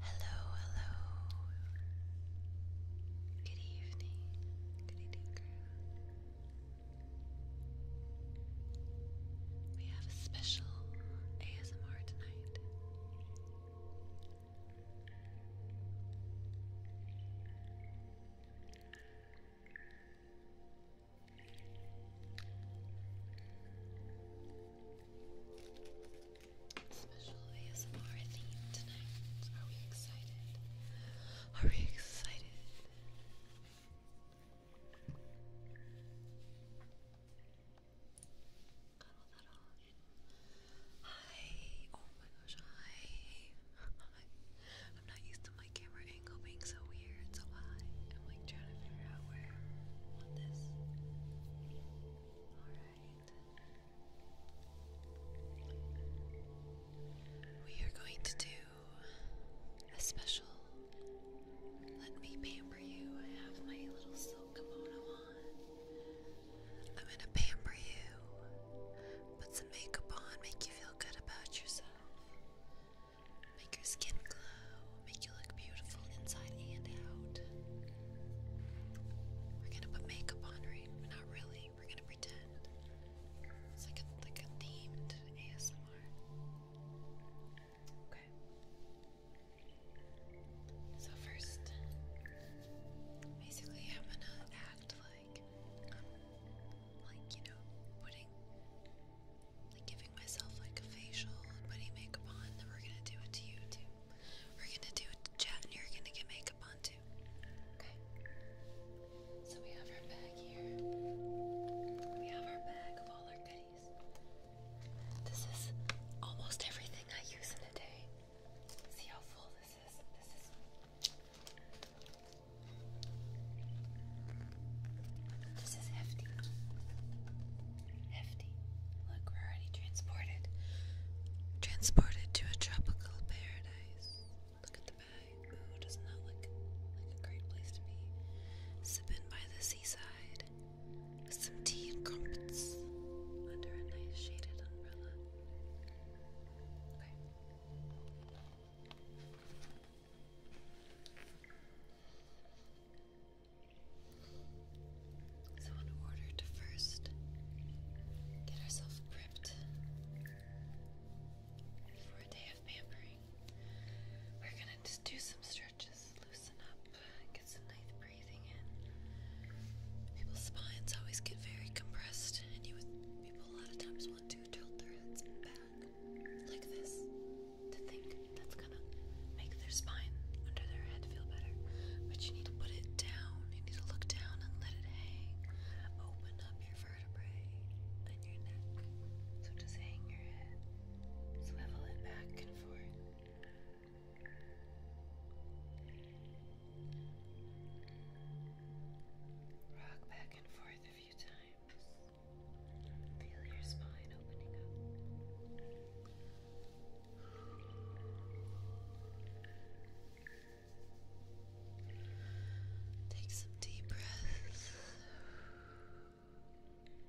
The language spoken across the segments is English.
Hello, hello. Good evening. Good evening, crew. We have a special ASMR tonight. Special ASMR theme tonight. Are we excited? Are we excited? Hi. Oh my gosh. Hi. Hi. I'm not used to my camera angle being so weird, so I am like trying to figure out where I this. Alright. We are going to do a special Let Me Pamper You. I have my little kimono on. I'm gonna pamper you, put some makeup on, make you feel good about yourself. Make your skin glow, make you look beautiful inside and out. We're gonna put makeup on, right? Not really. We're gonna pretend. It's like like a themed ASMR. Okay. So first, basically I'm gonna act like like, you know, putting like giving myself like a facial and putting makeup on, we're gonna do it to you too. We're gonna do it to chat and you're gonna get makeup on too. Okay. So we have our bag here. We have our bag of all our goodies. This is almost everything I use in a day. See how full this is? This is. hefty. Hefty. Look, we're already transported. Transported to a tropical paradise. Look at the bag. Oh, does not look like a great place to be. Sipping by the seaside with some tea and crumpets under a nice shaded umbrella. So, in order first get ourselves prepped for a day of pampering, we're gonna just do some stretches loosen up, get some nice breathing in. People's spines always get very compressed, and you would, people a lot of times want to tilt their heads back like this to think that's gonna make their spine under their head feel better. But you need to put it down. You need to look down and let it hang. Open up your vertebrae and your neck. So just hang your head, swivel it back and forth. Rock back and forth a few times. Feel your spine opening up. Take some deep breaths.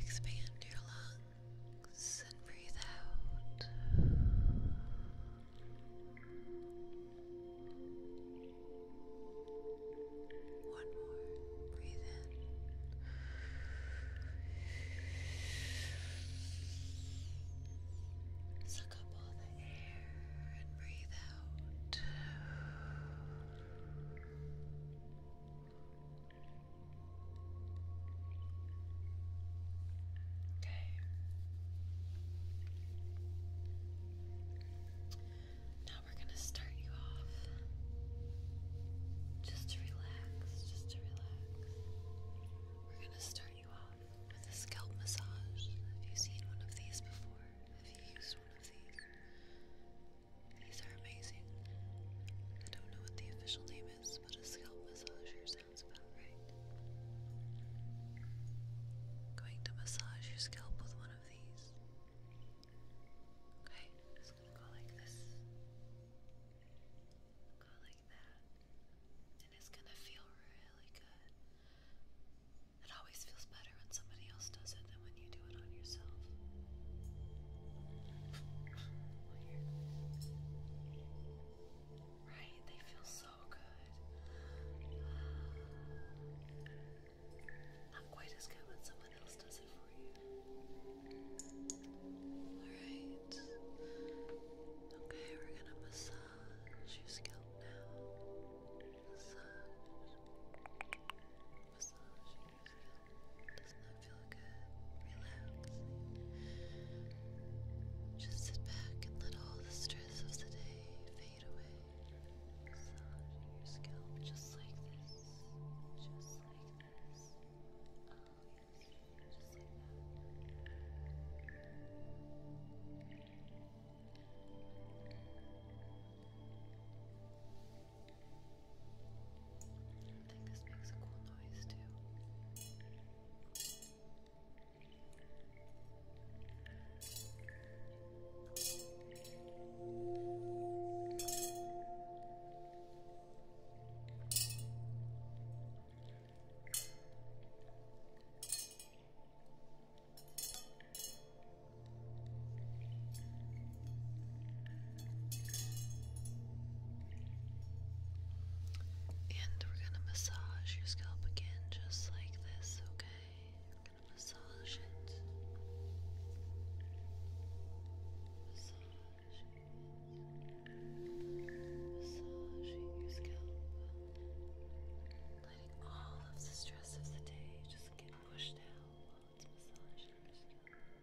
Expand your lungs and breathe out. One more. Breathe in. Suck up all the air and breathe out. Okay. Now we're going to start you off just to relax, just to relax. We're going to start you off with a scalp massage. Have you seen one of these before? Have you used one of these? These are amazing. I don't know what the official name is, but a scalp massager sounds about right. Going to massage your scalp with one of these. Okay, i gonna go like this. Go like that. And it's gonna feel really good. It always feels better when somebody else does it than when you do it on yourself. Right? They feel so good. Not quite as good when someone else does it for you. Alright. Okay, we're gonna massage your scalp now. Massage. Massage. Does that feel good? Relax. Just sit back and let all the stress of the day fade away. Massaging your scalp just like this. Just like this. Oh yes. Just like that. Good. I think this makes a cool noise too. I and we're going to massage your scalp again, just like this, okay? We're going to massage it. Massage it. Massaging your scalp. Letting all of the stress of the day just get pushed out while it's massaged.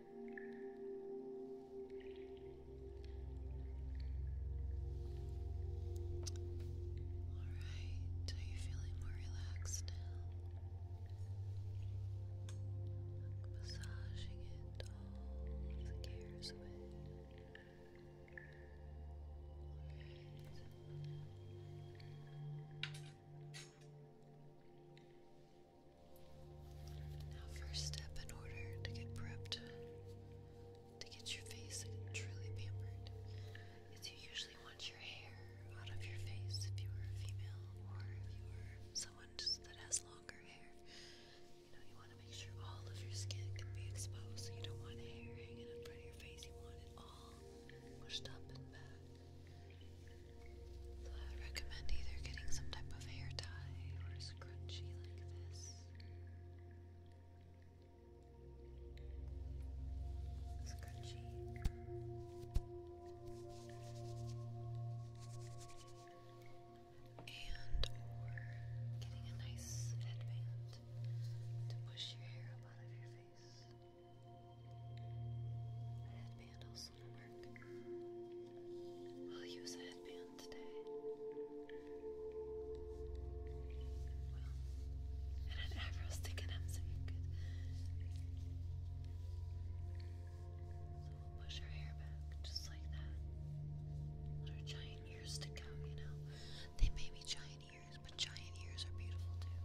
Alright, are you feeling more relaxed now? Massaging it all the cares away. Alright. Now, first step in order to get prepped, to get your face truly pampered, is you usually want your hair out of your face if you are a female or if you are someone that has longer hair. You know, you want to make sure all of your skin can be exposed, so you don't want hair hanging in front of your face. You want it all pushed up and back. I would recommend either getting some type of hair tie or a scrunchie like this. Scrunchie. And or getting a nice headband to push your hair up out of your face. A this will I'll use a headband today. and an afro sticking up so So we'll push her hair back just like that. her giant ears stick out, you know? They may be giant ears, but giant ears are beautiful too.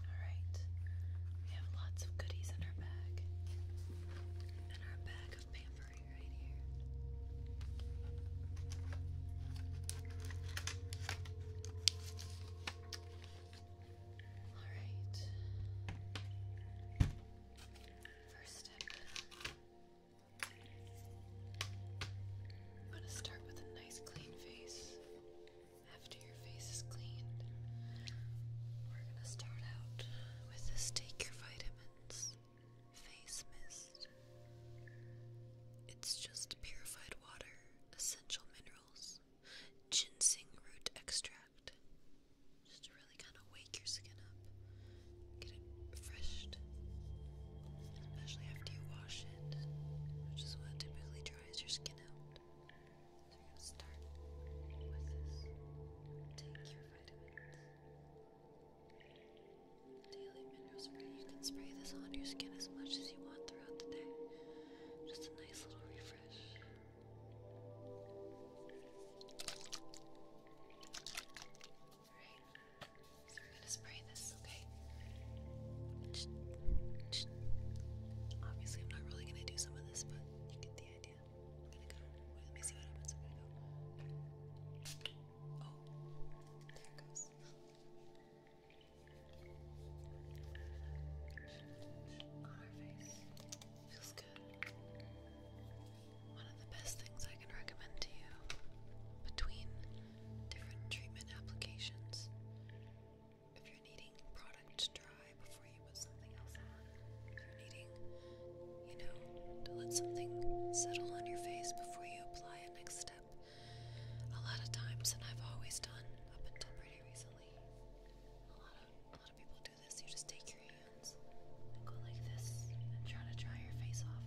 Alright, we have lots of goodies in our bag. All right. First step. I'm going to start with a nice clean face. After your face is cleaned, we're going to start out with this, take your vitamins. Face mist. It's just purified water, essential minerals, ginseng root extract. Just to really kind of wake your skin up, get it refreshed, especially after you wash it, which is what typically dries your skin out. So we going to start with this. Take your vitamins. Daily mineral spray. You can spray this on your skin as much as you want throughout the day. Just a nice little refresh. Alright, so we're gonna spray this, okay? Obviously, I'm not really gonna do some of this, but you get the idea i Feels good. One of the best things I can recommend to you between different treatment applications. If you're needing product to before you put something else on. If you're needing, you know, to let something settle on your face before you apply a next step. A lot of times, and I've always done up until pretty recently, a lot a lot of people do this. You just take your hands and go like this and try to dry your face off.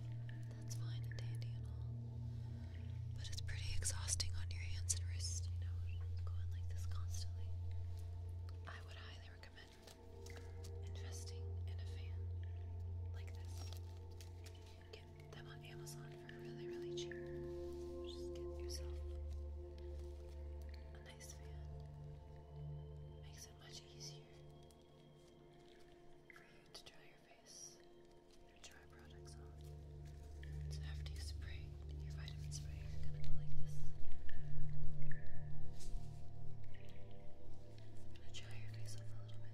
That's fine and dandy and all. But it's pretty exhausting on your hands and wrists, you know, going like this constantly. I would highly recommend investing in a fan like this. Get them on Amazon for really, really cheap. Just get yourself a nice fan. Makes it much easier for you to dry your face, your dry products on. It's after you spray you're gonna go like this. I'm gonna dry your face off a little bit,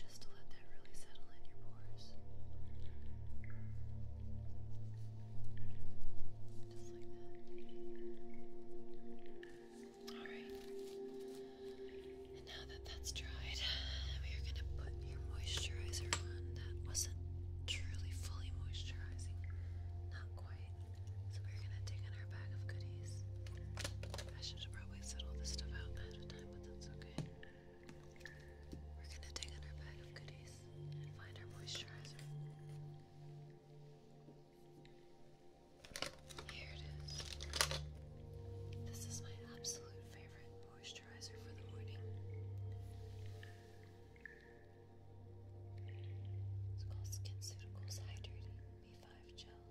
just to let that really settle in your pores. Just like that. Alright. And now that that's dried, we are going to put your moisturizer on that wasn't truly fully moisturizing. Not quite. So we're gonna dig our bag of goodies. I should have probably set all this stuff out ahead of time, but that's okay. We're gonna dig our bag of goodies and find our moisturizer. Here it is. This is my absolute favorite moisturizer for the morning. It's called SkinCeuticals Hydrating B5 Gel.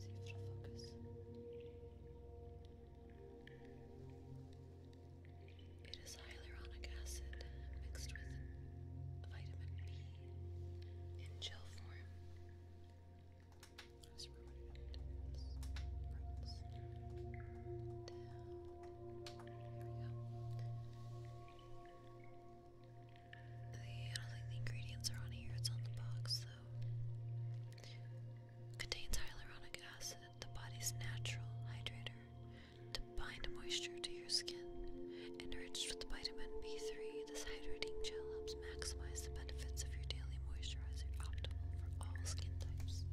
See focus its hyaluronic acid mixed with vitamin B in gel form. The, I don't think the ingredients are on here, it's on the box though. Contains hyaluronic acid, the body's natural hydrator, to bind moisture to your skin. Enriched with vitamin B3, this hydrating gel helps maximize the benefits of your daily moisturizer, optimal for all skin types.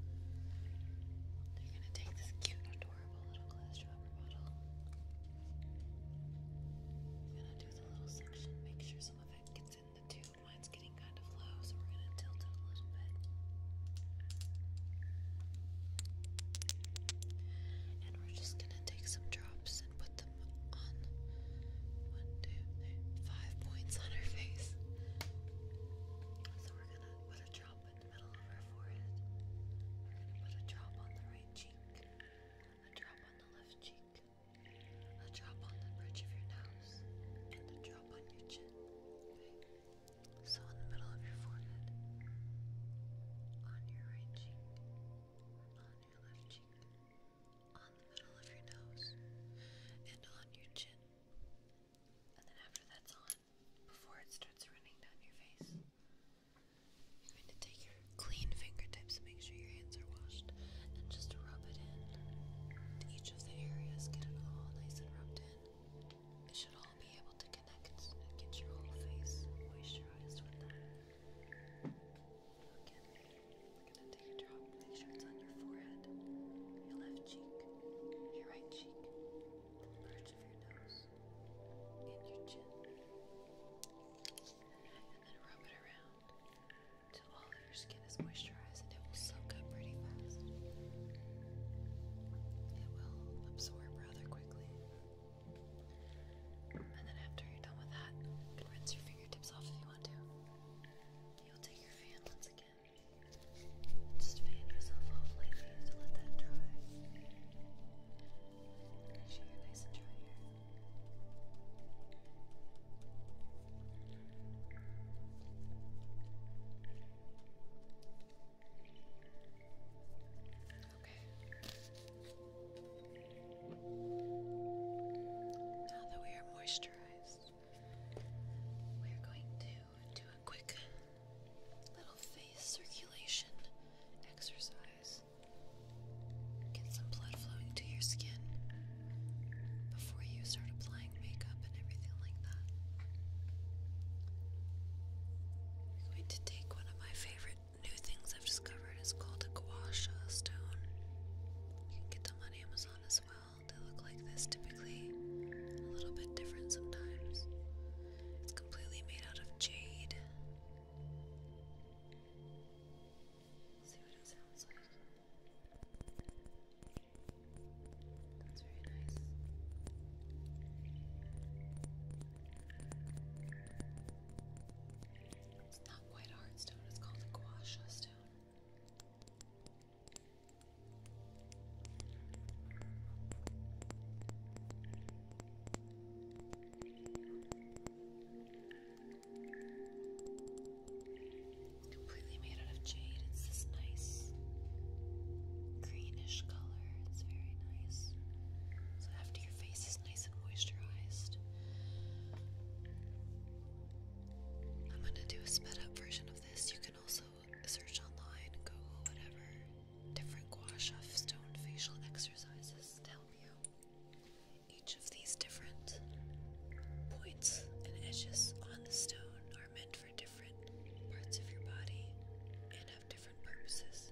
I'm gonna take this cute, adorable little glass dropper bottle. We're gonna do the little section, make sure some of it gets in the tube. Mine's getting kind of low, so we're gonna tilt it a little bit. And we're just gonna take some drops and put them on one, two, three, five points on her face. So we're gonna put a drop put the middle of her forehead. put a drop on the right cheek, a drop on the left cheek, a drop on the bridge of your nose, and a drop on your chin. Okay? So in the middle of your forehead, on your right cheek, on your left cheek, on the middle of your nose, and on your chin. And then after that's on, before it starts running down your face. You're going to take your clean fingertips, make sure your hands are washed, and just rub it in each of the areas. Get it all nice and rubbed in. It should all be able to connect and get your whole face moisturized with that. Again, we're going to take a drop, make sure it's on your forehead, your left cheek, your right cheek, the bridge of your nose and your chin. And then rub it around till all of your skin is moisturized and it will soak up pretty fast. It will absorb rather quickly. And then after you're done with that, you can rinse your fingertips off if you want to. You'll take your fan once again just fan yourself off lightly to let that dry. Okay. Now that we are moisturized, we are going to do a quick little face circulation exercise. Get some blood flowing to your skin before you start applying makeup and everything like that. I'm going to take one of my favorite new things I've discovered. It's called a gua sha stone. You can get them on Amazon as well. They look like this a little bit different sometimes. It's completely made out of jade. see what it sounds like. That's very nice. It's not quite a it's called a guasha stone. Completely made out of jade. It's this nice greenish color. It's very nice. So after your face is nice and moisturized, I'm gonna do a sped up version of this. You can also search online, Google whatever, different gua sha stone facial exercises to help you. Each of these different points and edges on the stone are meant for different parts of your body and have different purposes.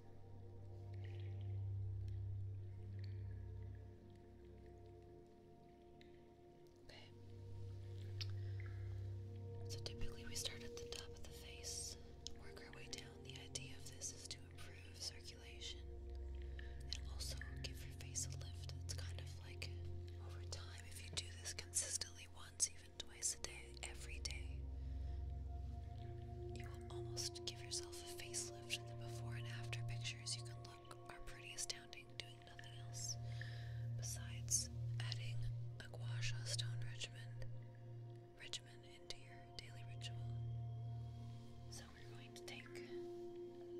Okay. So typically we start at the top of the Work our way down. The idea of this is to improve circulation and also give your face a lift. It's kind of like over time, if you do this consistently once, even twice a day, every day, you will almost give yourself a facelift. And the before and after pictures you can look are pretty astounding doing nothing else besides adding a gua stone ridge regimen into your daily ritual. So we're going to take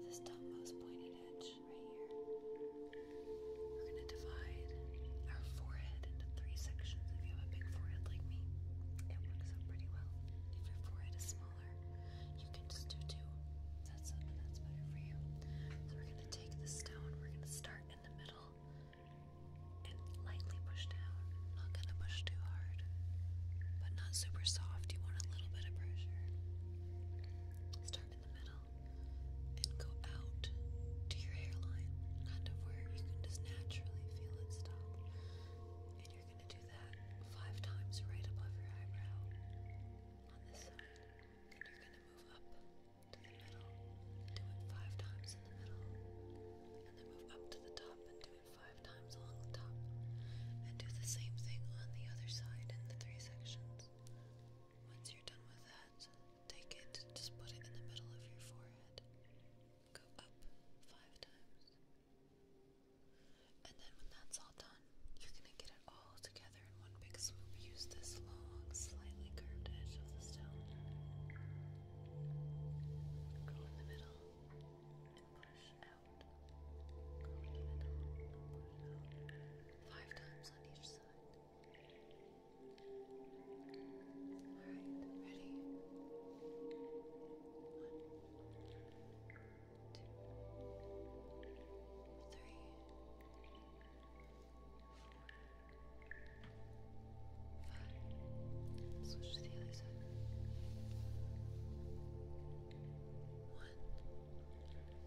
this topmost pointed edge right here. We're going to divide our forehead into three sections. If you have a big forehead like me, it works out pretty well. If your forehead is smaller, you can just do two. That's that's better for you. So we're going to take the stone. We're going to start in the middle and lightly push down. Not gonna push too hard, but not super soft. You want a little bit of pressure. Start in the middle and go out to your hairline, kind of where you can just naturally feel it stop. And you're gonna do that five times right above your eyebrow on this side. And you're gonna move up to the middle, do it five times in the middle, and then move up to the top and do it five times along the top, and do the same thing on the other side in the three sections. Once you're done with that, take it, just put it in the middle of your forehead, go up five times, and then when that's all done, you're gonna get it all together in one big swoop use this long, slightly curved edge of the stone. Go in the middle and push out. Go in the middle and push out. Five times on each side. Alright, ready? One, two, Five.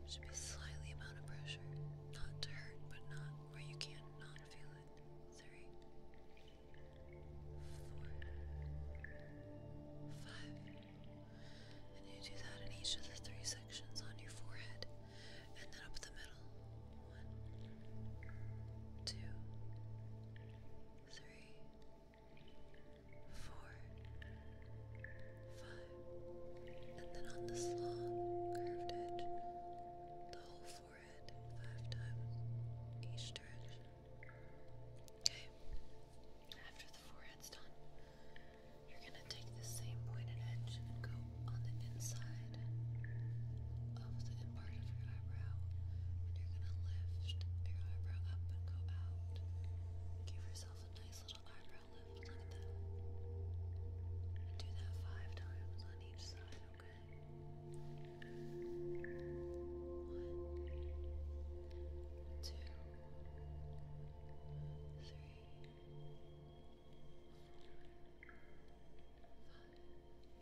Switch slightly amount of pressure. Not to hurt, but not where you can't not feel it. Three. And you do that in each of the three sections on your forehead. And then up the middle. One, two, three, four, five. And then on this long curved edge, the whole forehead five times each direction. Okay. After the forehead's done, you're gonna take the same pointed edge and go on the inside of the part of your eyebrow, and you're gonna lift your eyebrow up and go out. Give yourself a nice little eyebrow lift like that. do that five times on each side, okay? One, two, three, four, five. Six, seven, eight, nine, ten, eleven, twelve, thirteen, fourteen, fifteen, sixteen, seventeen, eighteen, nineteen, twenty, twenty-one, twenty-two, twenty-three, twenty-four, twenty-five, twenty-six, twenty-seven, twenty-eight, twenty-nine, thirty, thirty-one, thirty-two, thirty-three, thirty-four, thirty-five,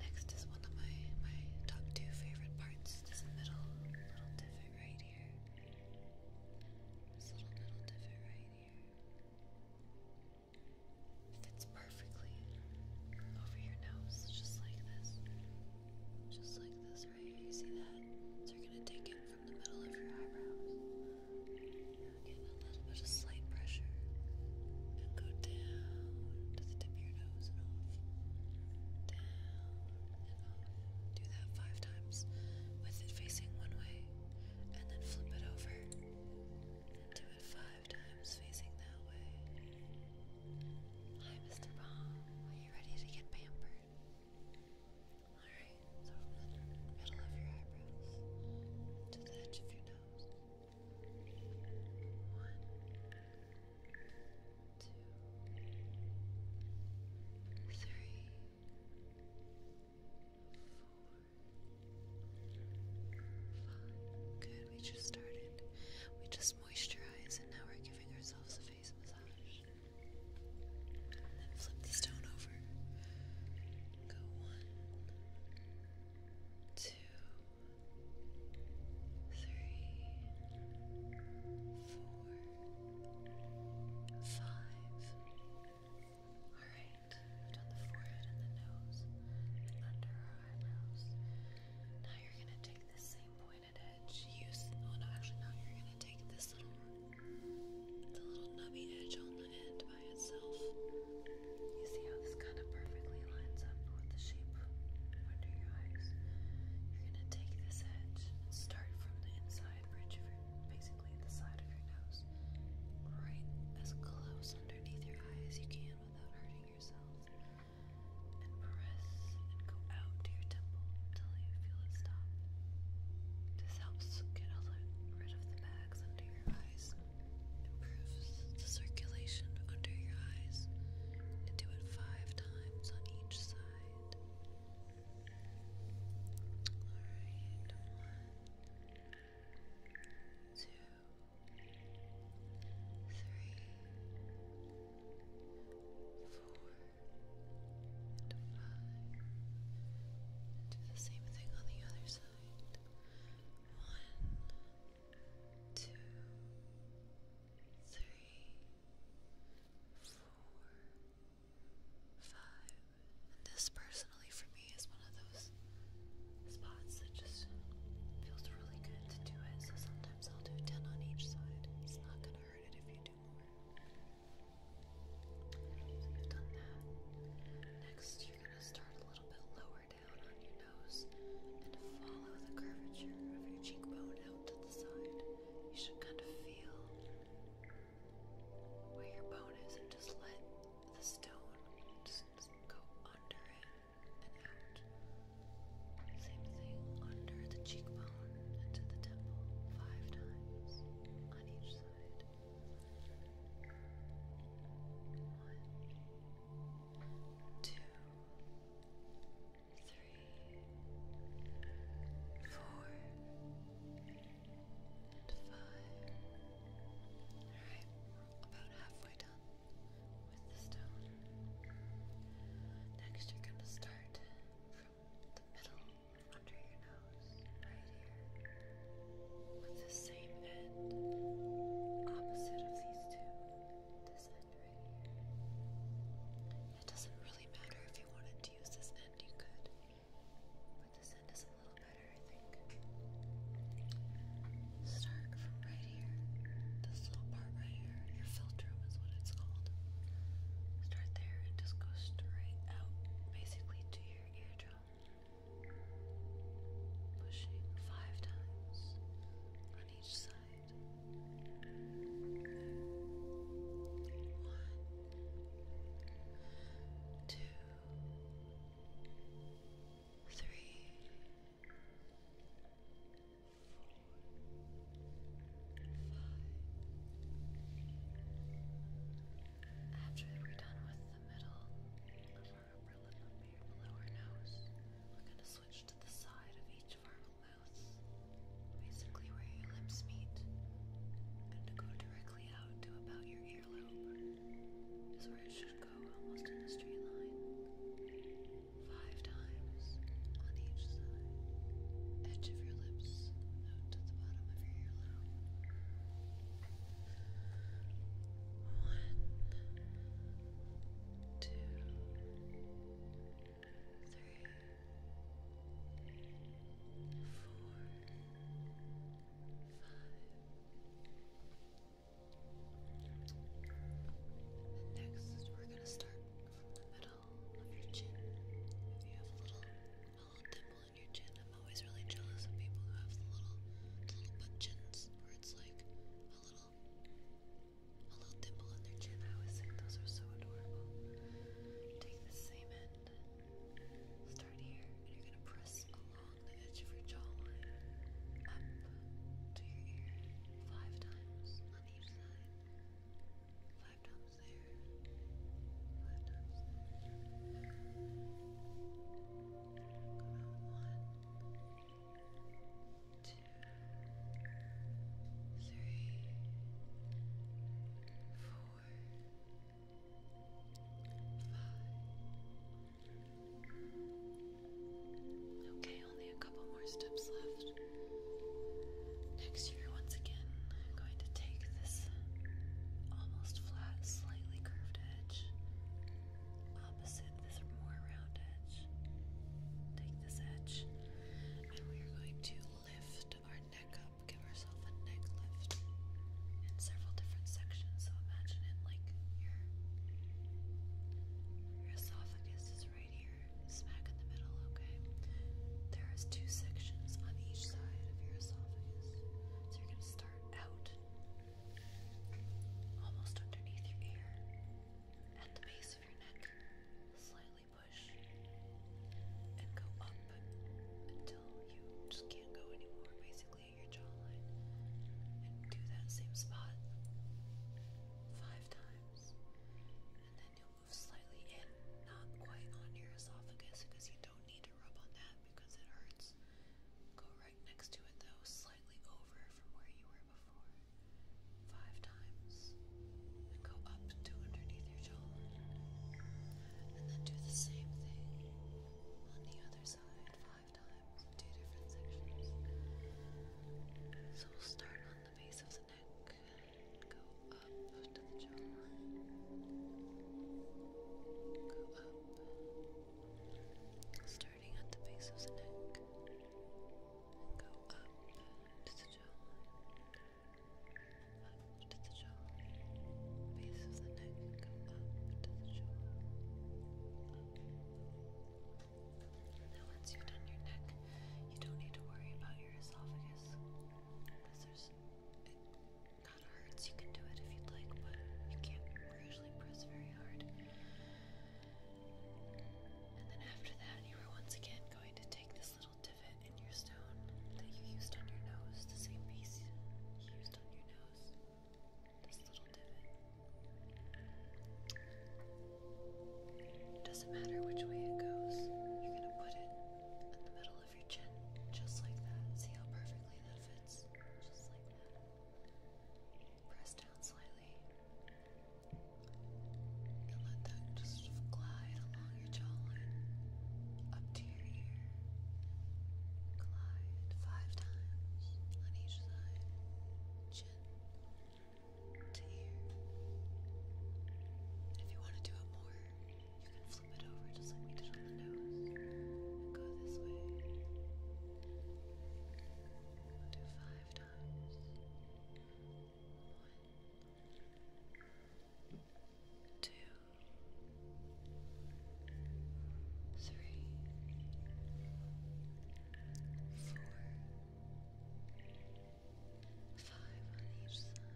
Next is one of my, my top two favorite parts, this little divot right here. This little divot right here. Fits perfectly over your nose, just like this. Just like this, right? You see that? So you're gonna take it from a little bit of slight pressure and go down to the tip of your nose and off. Down and off. Do that five times with it facing one way and then flip it over. do it five times facing that way. Hi, Mr. Baum. Are you ready to get pampered? Alright, so from the middle of your eyebrows to the edge of your nose. One, two, three, four, five. Good, we just started. We just moisturized and now we're giving ourselves a face massage. then flip the stone over. Go one, two, three, four, five. Alright, we've done the forehead and the nose under our eyebrows. Now you're going to take this same pointed edge. Use, oh no, actually, now you're going to take this little, the little nubby edge on it by itself. You see how this kind of perfectly lines up with the shape under your eyes? You're going to take this edge start from the inside bridge of your, basically the side of your nose, right as close underneath your eye as you can without hurting yourself. And press and go out to your temple until you feel it stop. This helps get rid of the bags under your eyes. Improves the circulation under your eyes. do it five times on each side. Alright, Do the same thing on the other side. One, two, three, four, five. this personally for me is one of those spots that just feels really good to do it. So sometimes I'll do 10 on each side. It's not going to hurt it if you do more. you've done that. Next, you're going to start a little bit lower down on your nose and follow the curvature of your cheekbone out to the side. You should kind of feel where your bone is and just let the stone go under it and out. Same thing under the cheekbone and the temple, five times on each side. One, two, three, four, Alright, about halfway done with the stone. Next, you're going to start from the middle under your nose with the same end opposite of these two. This end right here. It doesn't really matter if you wanted to use this end, you could. But this end is a little better, I think. Start from right here. This little part right here. Your filtrum is what it's called. Start there and just go straight out, basically to your eardrum pushing five times on each side. One, two, three, four, five. After we're done with the middle we're going to switch to the side of each of our basically where your lips meet. i to go directly out to about your earlobe, is where it should go almost in a straight line. Five times on each side, edge of your lips out to the bottom of your earlobe. One, two, three, four, five. Next, we're going to start from the middle of your chin. If you have a little, a little dimple I'm always really jealous of people who have the little, little Take the same end, start here, and you're gonna press along the edge of your jawline up to your ear five times on each side. Five times there. Five times there. Okay, only a couple more steps left. Next year, once again, going to take this almost flat, slightly curved edge opposite this more round edge. Take this edge, and we are going to lift our neck up, give ourselves a neck lift in several different sections. So imagine it like your, esophagus is right here, smack in the middle, okay? There is two sections on each side of your esophagus. So you're going to start out almost underneath your ear, at the base of your neck. Slightly push and go up until you just can't go anymore, basically, at your jawline. And do that same spot five times. And then you'll move slightly in, not quite on your esophagus because you don't need to rub on that because it hurts. Go right next to it though, slightly slightly over from where you were before. Five times. And go up to underneath your jaw. And then do the same thing on the other side five times. Two different sections. So we'll start on the base of the neck go up to the jaw. Go up starting at the base of the neck go up to the jaw, up to the jaw, base of the neck up to the jaw. Now once you've done your neck, you don't need to worry about your esophagus because there's it hurts. You can do it if you'd like, but you can't usually press very hard. And then after that, you are once again going to take this little divot in your stone that you used on your nose, the same piece used on your nose, this little divot. It doesn't matter which way it goes, you're going to put it in the middle of your chin, just like that. See how perfectly that fits? Just like that press down slightly and let that just glide along your jawline up to your ear. Glide five times on each side, chin to ear. And if you want to do it more, you can flip it over just like we did on the nose go this way do five times. One, two, three, four, five on each side.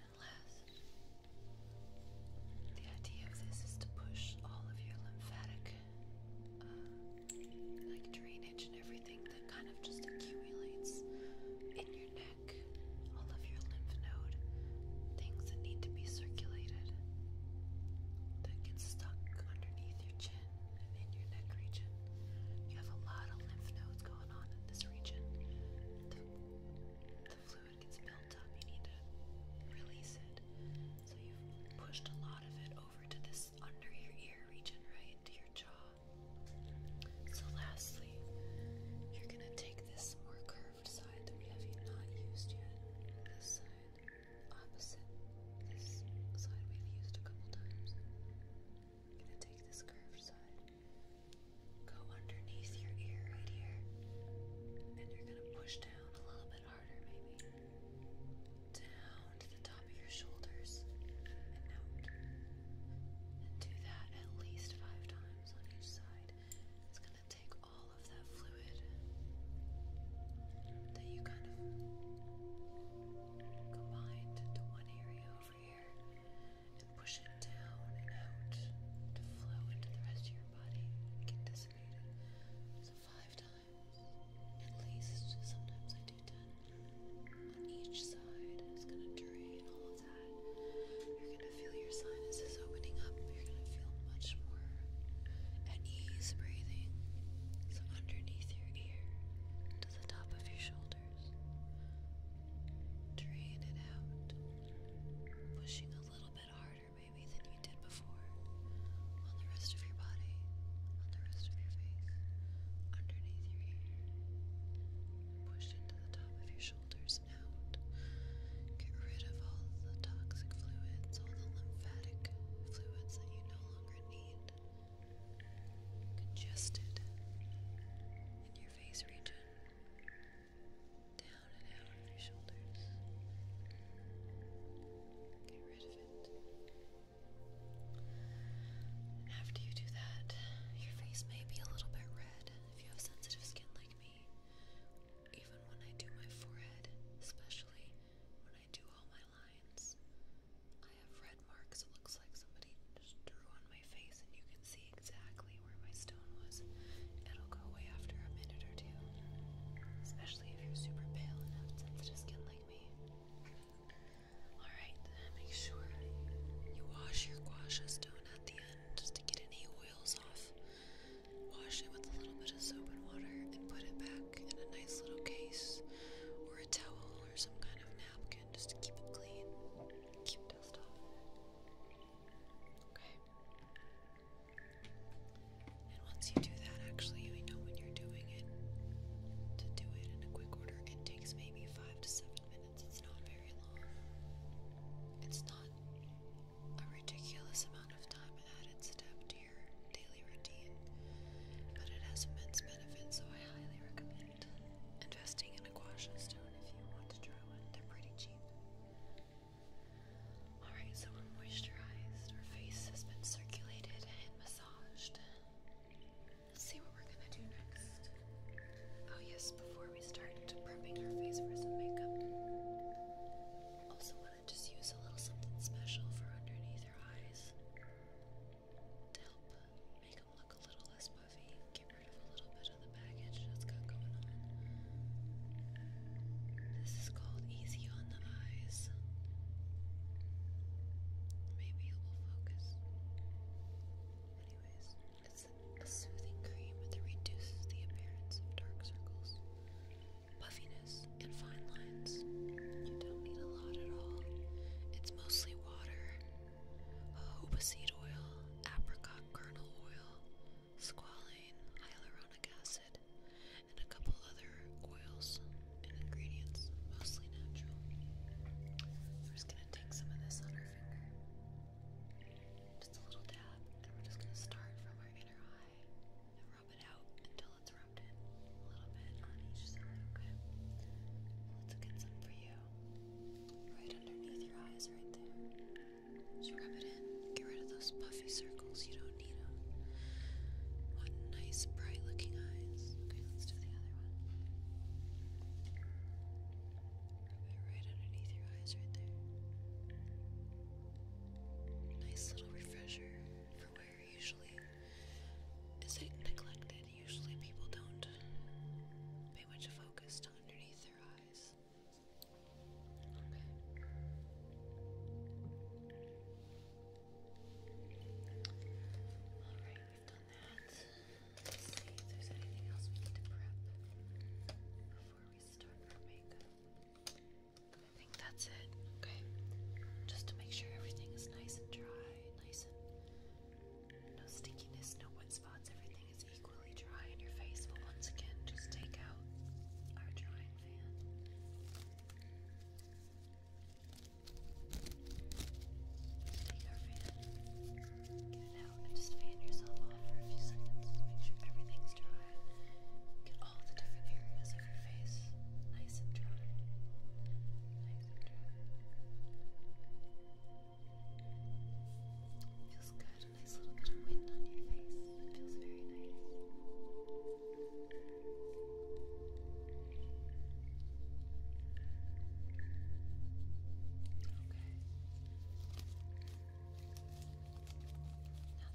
And last, the idea of this is to push all of your lymphatic, uh, like drainage and everything that kind of just accumulates in your neck, all of your lymph node, things that need to be circulated, that get stuck underneath your chin and in your neck region. You have a lot of lymph nodes going on in this region. It's built up, you need to release it. So you've pushed a lot of it over to this under your ear region, right? into your jaw. So lastly, you're gonna take this more curved side that we have not used yet. This side, opposite this side we've used a couple times. I'm gonna take this curved side, go underneath your ear right here, and you're gonna push down a little bit harder, maybe down to the top of your shoulders and do that at least five times on each side. It's going to take all of that fluid that you kind of combined into one area over here and push it down and out to flow into the rest of your body and get dissipated. So five times. At least sometimes I do 10 on each side. It's going to drain all of that. You're going to feel your sinuses opening up. You're going to feel much more at ease breathing. So underneath your ear to the top of your shoulders. Drain it out. Pushing a little bit harder maybe than you did before on the rest of your body, on the rest of your face, underneath your ear. Push into the top of your shoulders and Get rid of all the toxic fluids, all the lymphatic fluids that you no longer need. Congested in your face region. Down and down your shoulders. after you do that, your face may be a little bit red if you have sensitive skin like me. Even when I do my forehead, especially when I do all my lines, I have red marks. It looks like somebody just drew on my face, and you can see exactly where my stone was. It'll go away after a minute or especially if you're super pale and sensitive skin like me. Alright, make sure you wash your gua stone at the end just to get any oils off. Wash it with a little bit of soap and water and put it back in a nice little case or a towel or some kind of napkin just to keep it clean. Keep dust off. Okay. And once you do that, actually, I know when you're doing it, to do it in a quick order, it takes maybe five to seven minutes. It's not very long. It's not a ridiculous amount of time added step to your daily routine, but it has immense benefits, so I highly recommend investing in a gouache stone if you want to try one. They're pretty cheap. Alright, so we're moisturized. Our face has been circulated and massaged. Let's see what we're gonna do next. Oh, yes, before we start prepping our face for some makeup, also want to just use a little something special for underneath our eyes to help make them look a little less puffy, get rid of a little bit of the baggage that's got going on. This is called Easy on the Eyes. Maybe it will focus. Anyways, it's a soothing cream that reduces the appearance of dark circles, puffiness, and fine lines. You don't need a lot at all. It's mostly water, jojoba seed oil, apricot kernel oil, squalane, hyaluronic acid, and a couple other oils and ingredients, mostly natural. We're just going to take some of this on our finger. Just a little dab, and we're just going to start from our inner eye and rub it out until it's rubbed in a little bit on each side, okay? Let's get some for you. Right underneath your eyes, right there. Just rub it in. Get rid of those puffy circles you don't nice, bright looking eyes. Okay, let's do the other one. right underneath your eyes, right there. Nice little refresher for where usually is it neglected. Usually people don't pay much focus to underneath their eyes. Okay. Alright, you have done that. see if there's anything else we need to prep before we start our makeup. I think that's it, okay? Just to make sure everything is nice and dry, nice and no stickiness, no wet spots, everything is equally dry in your face. But once again, just take out our drying fan. Take our fan, get it out, and just fan yourself off for a few seconds. Make sure everything's dry. Get all the different areas of your face nice and dry. Nice and dry. Feels good. A nice little bit of wind on your face. It feels very nice. Good. Now that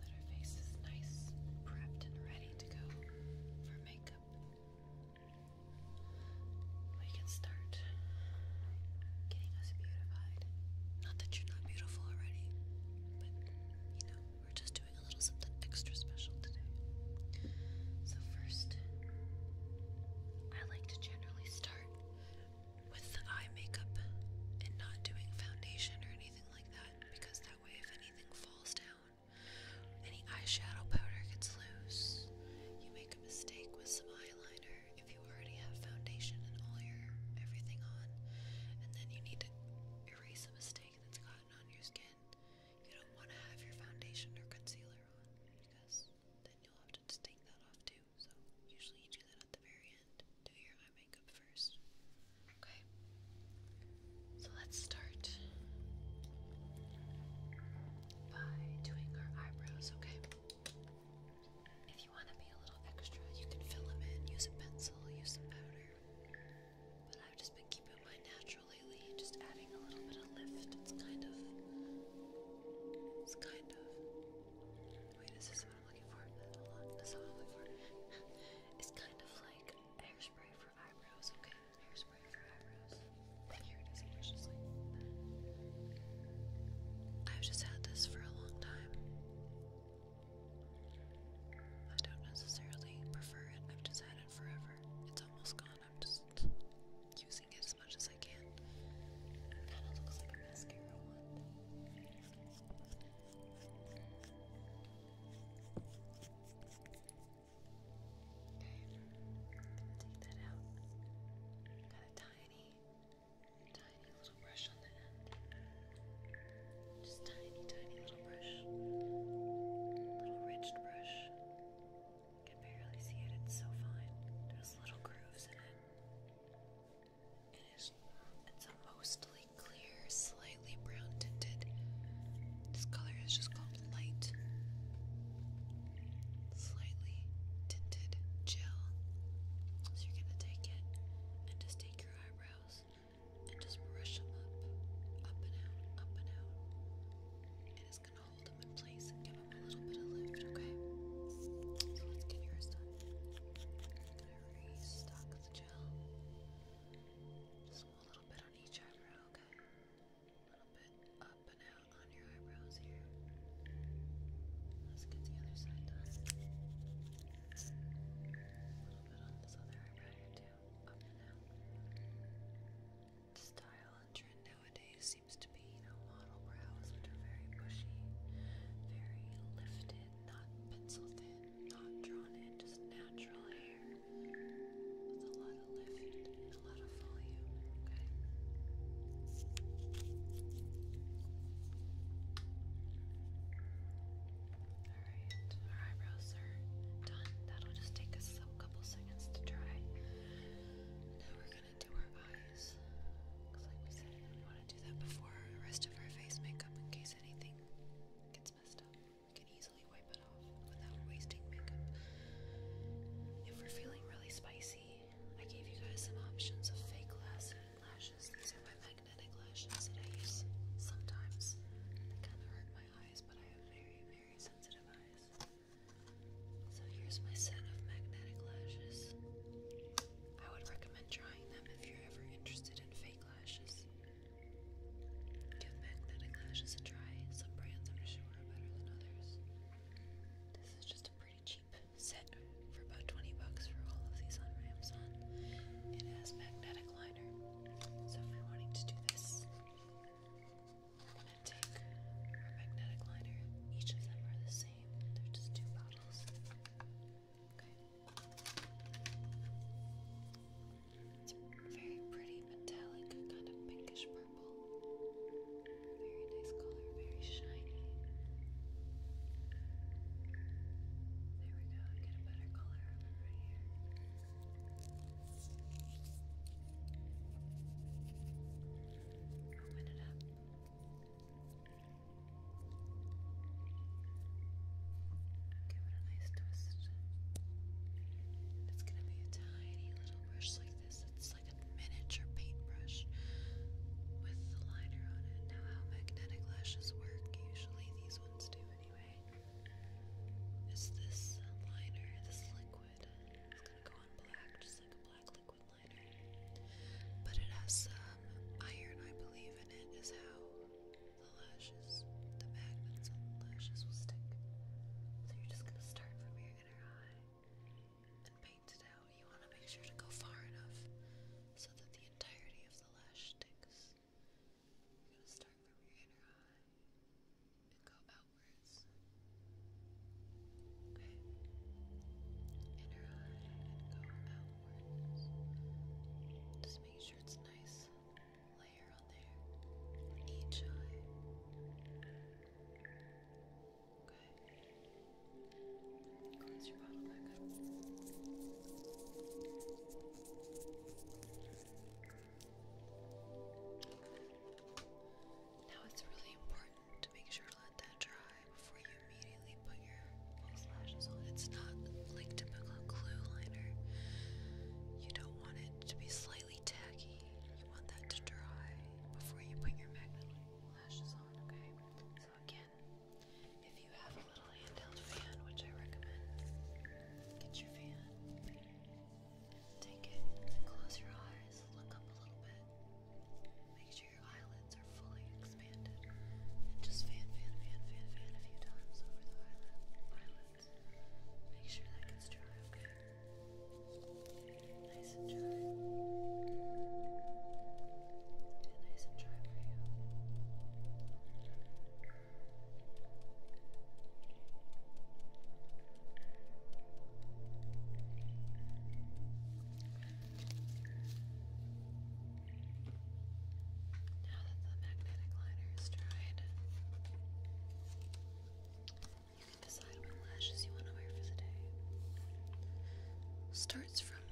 our face is nice, prepped, and ready to go for makeup, we can start getting us beautified. Not that you're not beautiful already, but you know, we're just a little something extra special today. So, first, I like to generally start with the eye makeup and not doing foundation or anything like that because that way, if anything falls down, any eyeshadow powder gets loose. You make a mistake with some eyeliner if you already have foundation and all your everything on, and then you need to erase the mistake that's gotten on your skin. You don't want to have your foundation or concealer on because then you'll have to take that off too. So usually you do that at the very end. Do your eye makeup first. Okay. So let's start by doing our eyebrows, okay? If you want to be a little extra, you can fill them in, use a pencil, use some powder. But I've just been keeping my natural lately, just adding a little bit of lift. It's kind of, it's kind of. Wait, is what I'm looking for? That's not what I'm looking for. it's kind of like hairspray for eyebrows. Okay, hairspray for eyebrows. Here it is, just like I've just had this for a long time. I don't necessarily prefer it. I've just had forever. It's almost gone. I'm just using it as much as I can. Okay, take that out. Got a tiny, tiny little brush on the end. Just tiny, tiny little brush. Little ridged brush. can barely see it, it's so fine. There's little grooves in it. It is it's a mostly clear, slightly brown tinted. This color is just called light. Slightly tinted gel. So you're gonna take it and just take your eyebrows and just brush them up, up and out, up and out. it's gonna hold them in place and give them a little bit of lift, okay? So let's get yours done. I'm gonna restock the gel. Just a little bit on each eyebrow, okay? A little bit up and out on your eyebrows here. Let's get the other side done. A little bit on this other eyebrow too style and trend nowadays seems to be, you know, model brows, which are very bushy, very lifted, not pencil thin, not drawn in, just natural hair with a lot of lift and a lot of volume. Okay. Alright, our eyebrows are done. That'll just take us a couple seconds to dry. Now we're gonna do our eyes. like we said, we want to do that before the rest of our face makeup in case anything gets messed up. We can easily wipe it off without wasting makeup. If we're feeling really spicy, I gave you guys some options of fake lashes. These are my magnetic lashes that I use sometimes. They kind of hurt my eyes, but I have very, very so here's my set of magnetic lashes. I would recommend trying them if you're ever interested in fake lashes. Give magnetic lashes a try. Some brands i sure better than others. This is just a pretty cheap set for about 20 bucks for all of these on Amazon. It has magnetic liner. So if you're wanting to do this, I'm gonna take our magnetic liner. Each of them are the same. They're just two bottles. Okay. It's very pretty metallic, kind of pinkish purple. Very nice color, very shiny. There we go, get a better color right here. Open it up. Give it a nice twist. it's gonna be a tiny little brush like this. It's like a miniature paintbrush with the liner on it. Now, how magnetic lashes work, usually these ones do anyway is this liner, this liquid. It's gonna go on black, just like a black liquid liner. But it has some iron, I believe, in it, is how the lashes, the magnets on the lashes will stick. So you're just gonna start from your inner eye and paint it out. You wanna make sure to go far enough so that the entirety of the lash sticks. You're going to start from your inner eye and go outwards. Okay? Inner eye and go outwards. Just make sure it's nice layer on there. each eye. Okay? Close your bottle back up. Now it's really important to make sure to let that dry before you immediately put your false lashes on. It's not like typical glue liner. You don't want it to be slightly tacky. You want that to dry before you put your magnet lashes on, okay? So again, if you have a little handheld fan, which I recommend, get your fan. Take it and close your eyes. Look up a little bit. Make sure your eyelids are fully expanded. And just fan, fan, fan, fan, fan a few times over the eyelid, eyelids. Make sure that gets dry, okay? Nice and dry. Nice and dry for you. Now that the magnetic liner is dried, you can decide what lashes you want to wear for the day. Starts from,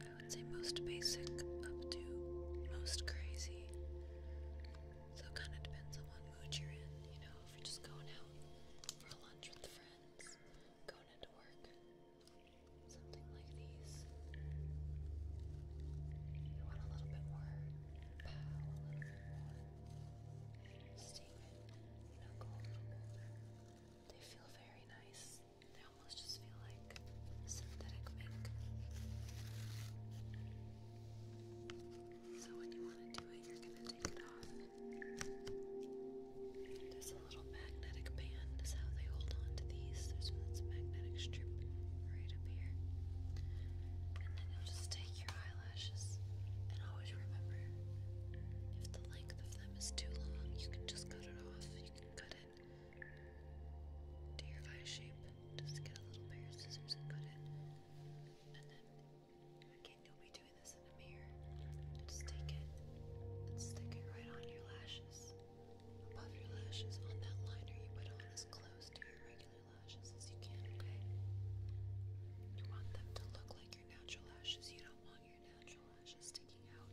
I would say, most basic up to most crazy. So kind of depends on what mood you're in, you know, if you're just going out for lunch with friends, going into work, something like these. You want a little bit more pow, a little bit more steam, you know, They feel very nice. They almost just feel like synthetic mink. So when you want to do it, you're going to take it off. And this little magnetic band is how they hold on to these. There's this magnetic strip right up here. And then you'll just take your eyelashes and always remember if the length of them is too long, you can just cut it off. You can cut it to your eye shape. Just get a little pair of scissors and cut it. And then again, you'll be doing this in the mirror. Just take it and stick it right on your lashes. Above your lashes, on that liner you put on as close to your regular lashes as you can, okay? You want them to look like your natural lashes. You don't want your natural lashes sticking out.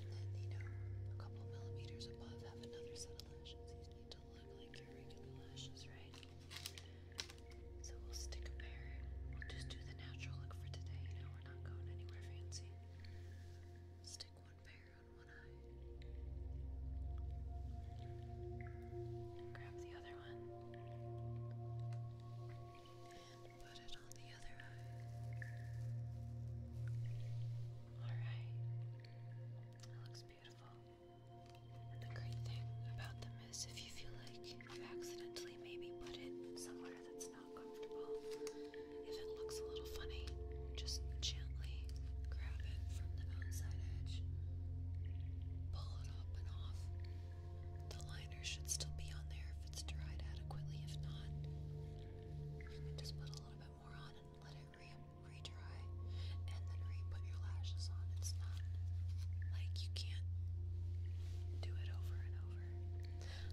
And then, you know, a couple millimeters above, have another set of lashes right? So we'll stick a pair. We'll just do the natural look for today. You know, we're not going anywhere fancy. Stick one pair on one eye. grab the other one. And put it on the other eye. Alright beautiful. the great thing about them is if you feel like you accidentally maybe put it somewhere that's not comfortable, if it looks a little funny, just gently grab it from the outside edge, pull it up off. The liner should still be on there if it's dried adequately. If not, just put a little bit more on and let it retry and then re put your lashes on. It's not like you can't do it over and over.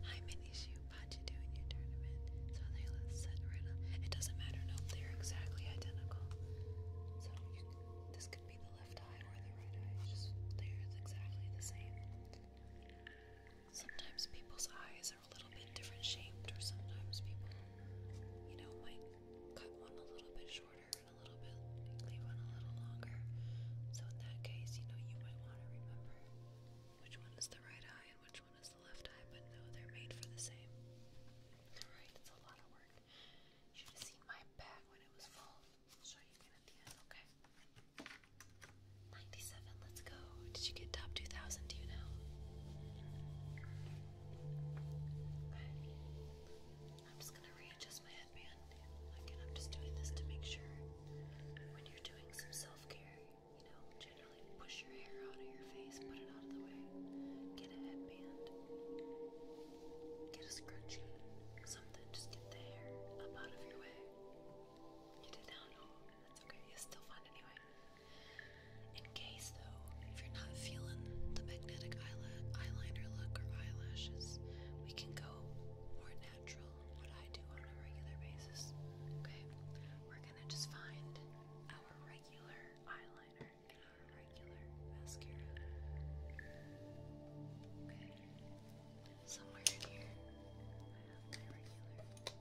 Hi, Minishu. How'd you do in your tournament? So they set right It doesn't matter. No, they're exactly identical. So this could be the left eye or the right eye. they're exactly the same. Sometimes people's eyes are a little bit different shaped, or sometimes people, you know, might cut one a little bit shorter a little bit, leave one a little longer. So in that case, you know, you might want to remember which one is the right eye and which one is the left eye, but no, they're made for the same. Alright, it's a lot of work. You should have seen my bag when it was full. show you again at the end, okay? 97, let's go. Did you get top 2000? Do you know? I'm just gonna readjust my headband. Again, I'm just doing this to make sure when you're doing some self-care, you know, generally push your hair out of your face, put it out of the way, get a headband, get a scrunchie, something, just get the hair out of your way. You did that? No, that's okay. It's still fun anyway in case, though, if you're not feeling the magnetic eyeliner look or eyelashes, we can go more natural, what I do on a regular basis. Okay? We're gonna just find our regular eyeliner and our regular mascara. Somewhere in here, my regular eyeliner.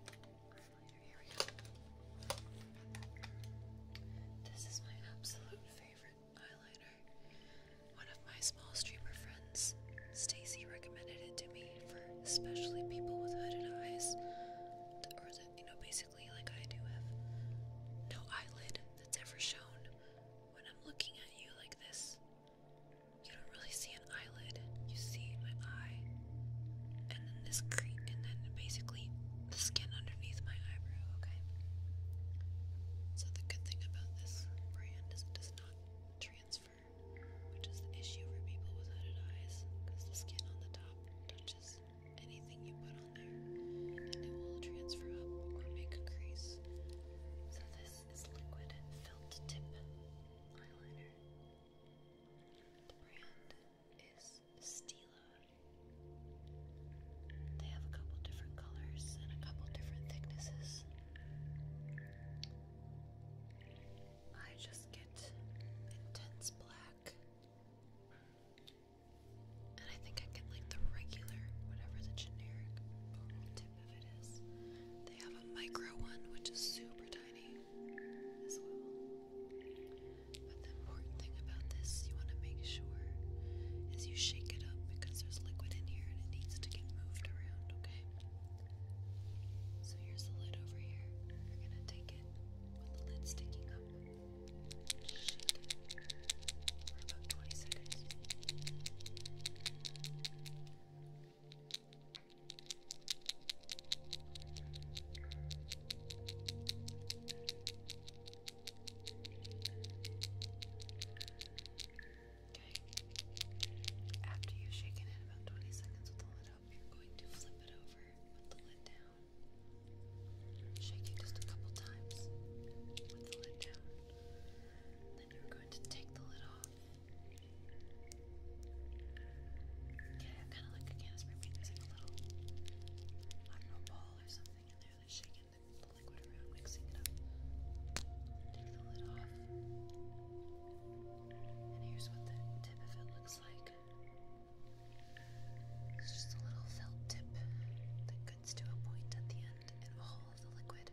Here we go. This is my absolute favorite favorite eyeliner. One of my small streamer friends, Stacy, recommended it to me for especially people with hooded eyes, or that you know, basically like I do have no eyelid that's ever shown. When I'm looking at you like this, you don't really see an eyelid. You see my eye, and then this crease, and then basically the skin underneath my eyebrow, okay? So the good thing about this brand is it does not transfer, which is the issue for people with hooded eyes, because the skin on the top touches anything you put on there, and it will transfer up or make a crease. So this is liquid felt tip eyeliner. The brand is Stila. They have a couple different colors and a couple different thicknesses. I just get intense black. And I think I get like the regular, whatever the generic tip of it is. They have a micro one, which is super tiny but the important thing about this, you want to make sure is you shake it up because there's liquid in here and it needs to get moved around, okay? So here's the lid over here. You're going to take it with the lid sticking up. Shake it for about 20 seconds. Okay. After you've shaken it about 20 seconds with the lid up, you're going to flip it over with the lid down. Shake it just a couple times with the lid down. Then you're going to take the lid off. Yeah, kind of like a can of spray paint. a little, I don't know, ball or something in there that's shaking. Take the lid off. And here's what the tip of it looks like. It's just a little felt tip that gets to a point at the end, and whole of the liquid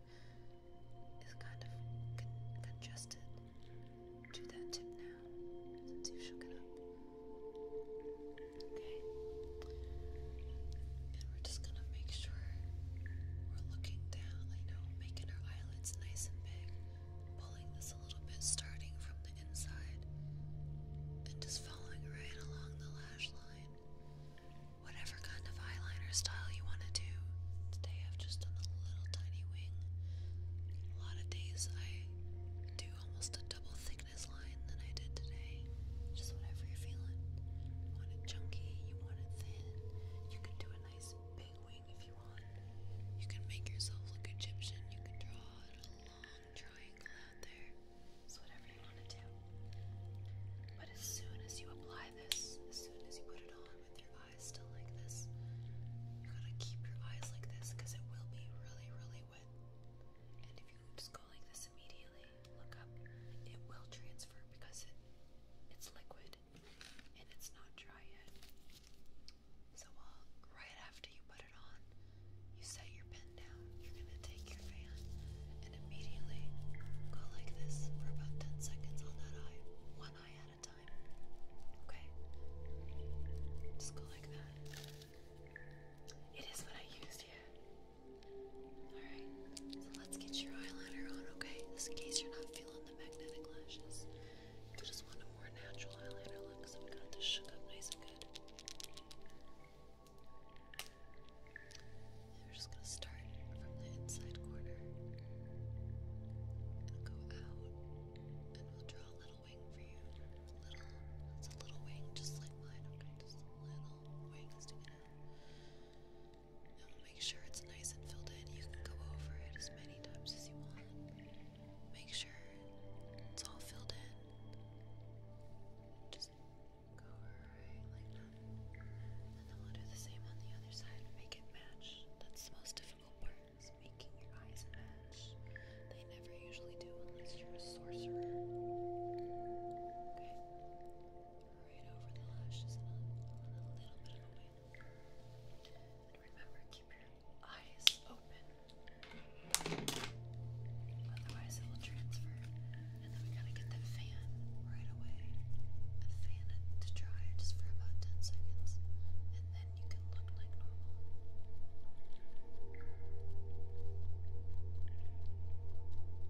is kind of con congested to that tip now, since you shook it up. Okay. And we're just gonna make sure we're looking down, you know, making our eyelids nice and big, pulling this a little bit, starting from the inside, and just following right along the lash line. Whatever kind of eyeliner style you want to do. Today I've just done a little tiny wing. A lot of days I do almost a double thick like line than I did today. Just whatever you're feeling. want it chunky, you want it thin. You can do a nice big wing if you want. You can make yourself look Egyptian. You can draw a long triangle out there. It's whatever you want to do. But as soon as you apply this, as soon as you put it on with your eyes still like this, you gotta keep your eyes like this because it will be really, really wet. And if you just go like this immediately, look up, it will transfer because it's liquid and it's not dry yet. So right after you put it on, you set your pen down. You're gonna take your fan and immediately go like this for about 10 seconds on that eye, one eye at a time. Okay, just go like that. It is what I used, yeah. Alright, so let's get your eyeliner on, okay? Just in case you're not feeling the magnetic lashes. You just want a more natural eyeliner look, so we got this shook up nice and good. we're just gonna start from the inside corner. Go out, and we'll draw a little wing for you. Little, it's a little wing, just like mine. Okay, just little wing. I will make sure it's nice and filled in. You can go over it as many times as you want. Make sure it's all filled in. Just go right And then we'll do the same on the other side. Make it match. That's the most difficult part is making your eyes match. They never usually do unless you're a sorcerer right over the lashes and a, little bit of the wing. And remember, keep your eyes open. Otherwise, it will transfer. And then we gotta get the fan right away. And fan to dry just for about 10 seconds. And then you can look like normal. And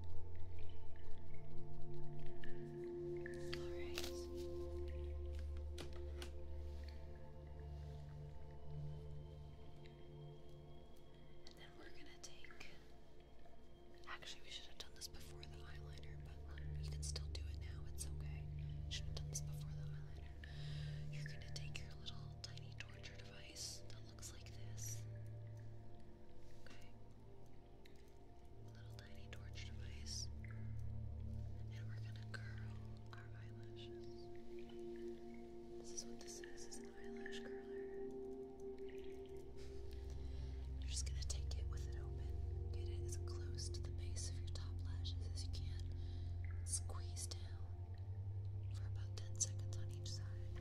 then we're gonna take. Actually, we should have done this before the eyeliner, but you can still do it now, it's okay. Should have done this before the eyeliner. You're gonna take your little tiny torture device that looks like this. Okay. Little tiny torch device. And we're gonna curl our eyelashes. This is what this is, an eyelash curler. You're just gonna take it with it open. Get it as close to the base of your top lashes as you can. Squeeze down for about 10 seconds on each side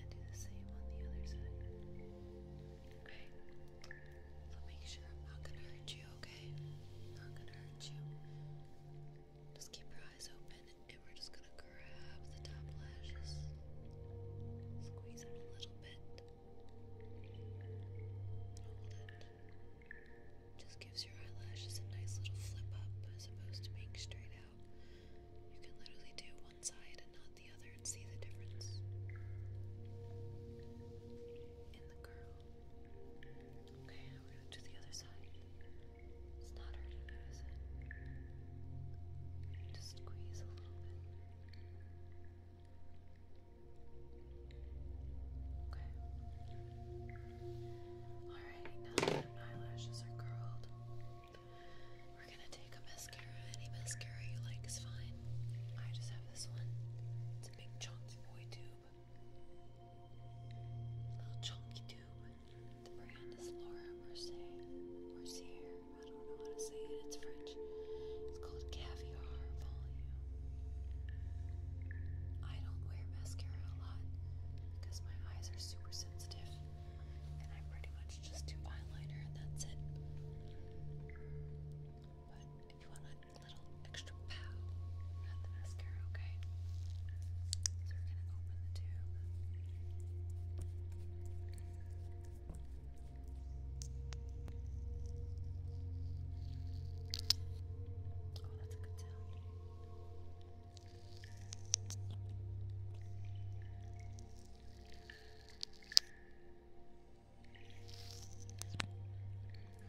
and do the same on the other side. Okay? So make sure I'm not gonna hurt you, okay? Not gonna hurt you. Just keep your eyes open and we're just gonna grab the top lashes. Squeeze it a little bit. Hold it. Just gives your eyelashes a nice little flip up as opposed to being straight out. You can literally do one side and not the other and see the difference in the curl. Okay, we're going the other side. It's not hurting is it? Just squeeze a little bit. Okay. Alright, now that eyelashes are curled, we're gonna take a mascara. Any mascara you like is fine. I just have this one. It's a big chunky boy tube. Little chunky tube. The brand is Laura Mercier. Mercier. I don't know how to say it. It's French. It's called Caviar Volume. I don't wear mascara a lot because my eyes are super sensitive and I pretty much just do eyeliner and that's it. But if you want a little extra pow, add the mascara, okay? So we're gonna open the tube. Oh, that's a good sound.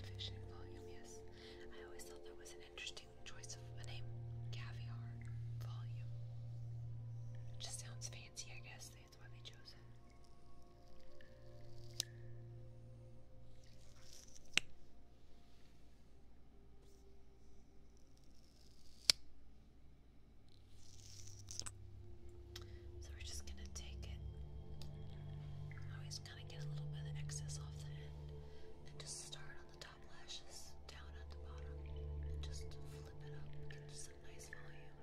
Fish volume, yes. I always thought that was an interesting choice of a name. Caviar volume. just sounds fancy, I guess. That's why they chose it. So we're just gonna take it. Always kind of get a little bit of excess off the end, and just start on the top lashes, down at the bottom, and just flip it up, get some nice volume.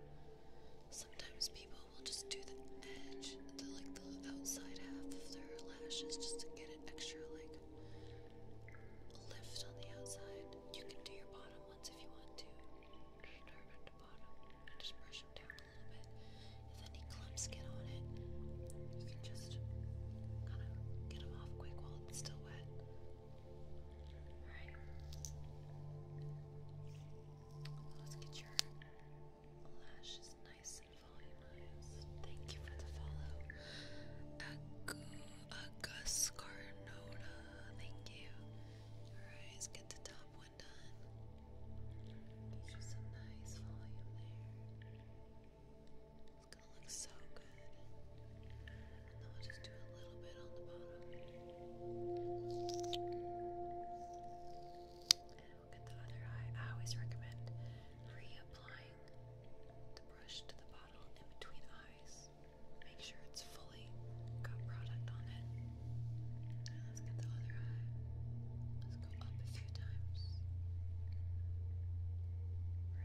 Sometimes people will just do the edge, the like the outside half of their lashes, just to get an extra like lift on the outside. You can do your bottom little if you want to. Just brush them down a little bit. If any clumps get on it, you can just kind of get them off quick while it's still wet. Alright. Let's get your lashes nice and volumized. Thank you for the follow. Agu thank you. Alright, let's get the top one done. Gives you nice volume there. It's gonna look so good. And then we'll just do a little bit on the bottom. And we'll get the other eye. I always recommend reapplying the brush to the bottle in between eyes. Make sure it's fully got product on it. let's get the other eye. Let's go up a few times.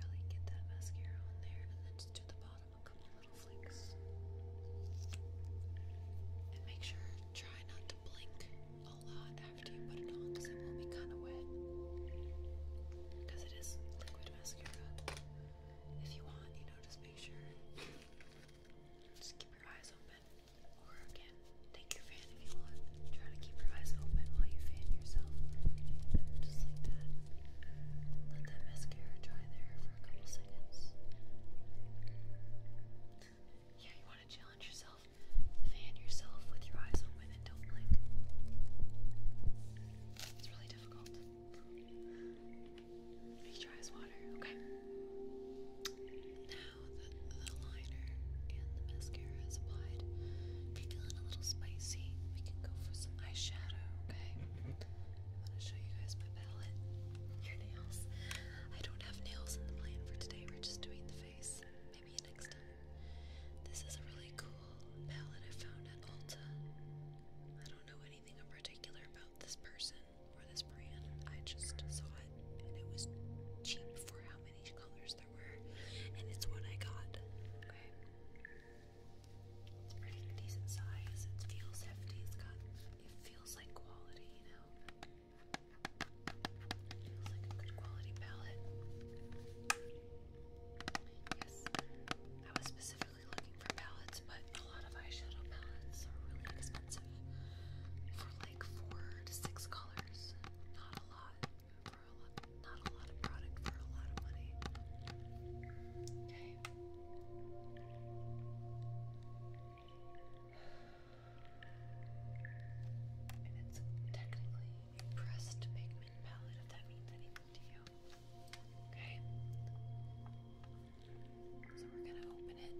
Really get that mascara on there and then just do the bottom a couple little flicks. And make sure, try not to blink a lot after you put it on because it will be kind of wet. Because it is liquid mascara if you want, you know, just make sure just keep your eyes open. Or again, take your fan if you want. Try to keep your eyes open while you fan yourself. Just like that. Let that mascara dry there for a couple seconds. Yeah, you want to challenge yourself. Fan yourself with your eyes open and don't blink. It's really difficult. Make sure water, okay? Now the liner and the mascara is applied, if you're feeling a little spicy, we can go for some eyeshadow, okay? I'm gonna show you guys my palette. Your nails. I don't have nails in the plan for today, we're just doing the face. Maybe next time. This is a really cool palette I found at Ulta. I don't know any anything in particular about this person or this brand. I just saw it and it was cheap for how many colors there were, and it's what I got. Okay. It's pretty decent size. It feels hefty. It's got it feels like quality, you know. It feels like a good quality palette. Yes. I was specific looking for palettes, but a lot of eyeshadow palettes are really expensive for like four to six colors. Not a lot for a lot, not a lot of product for a lot of money. Okay. And it's technically pressed pigment palette, if that means anything. Okay? So we're gonna open it.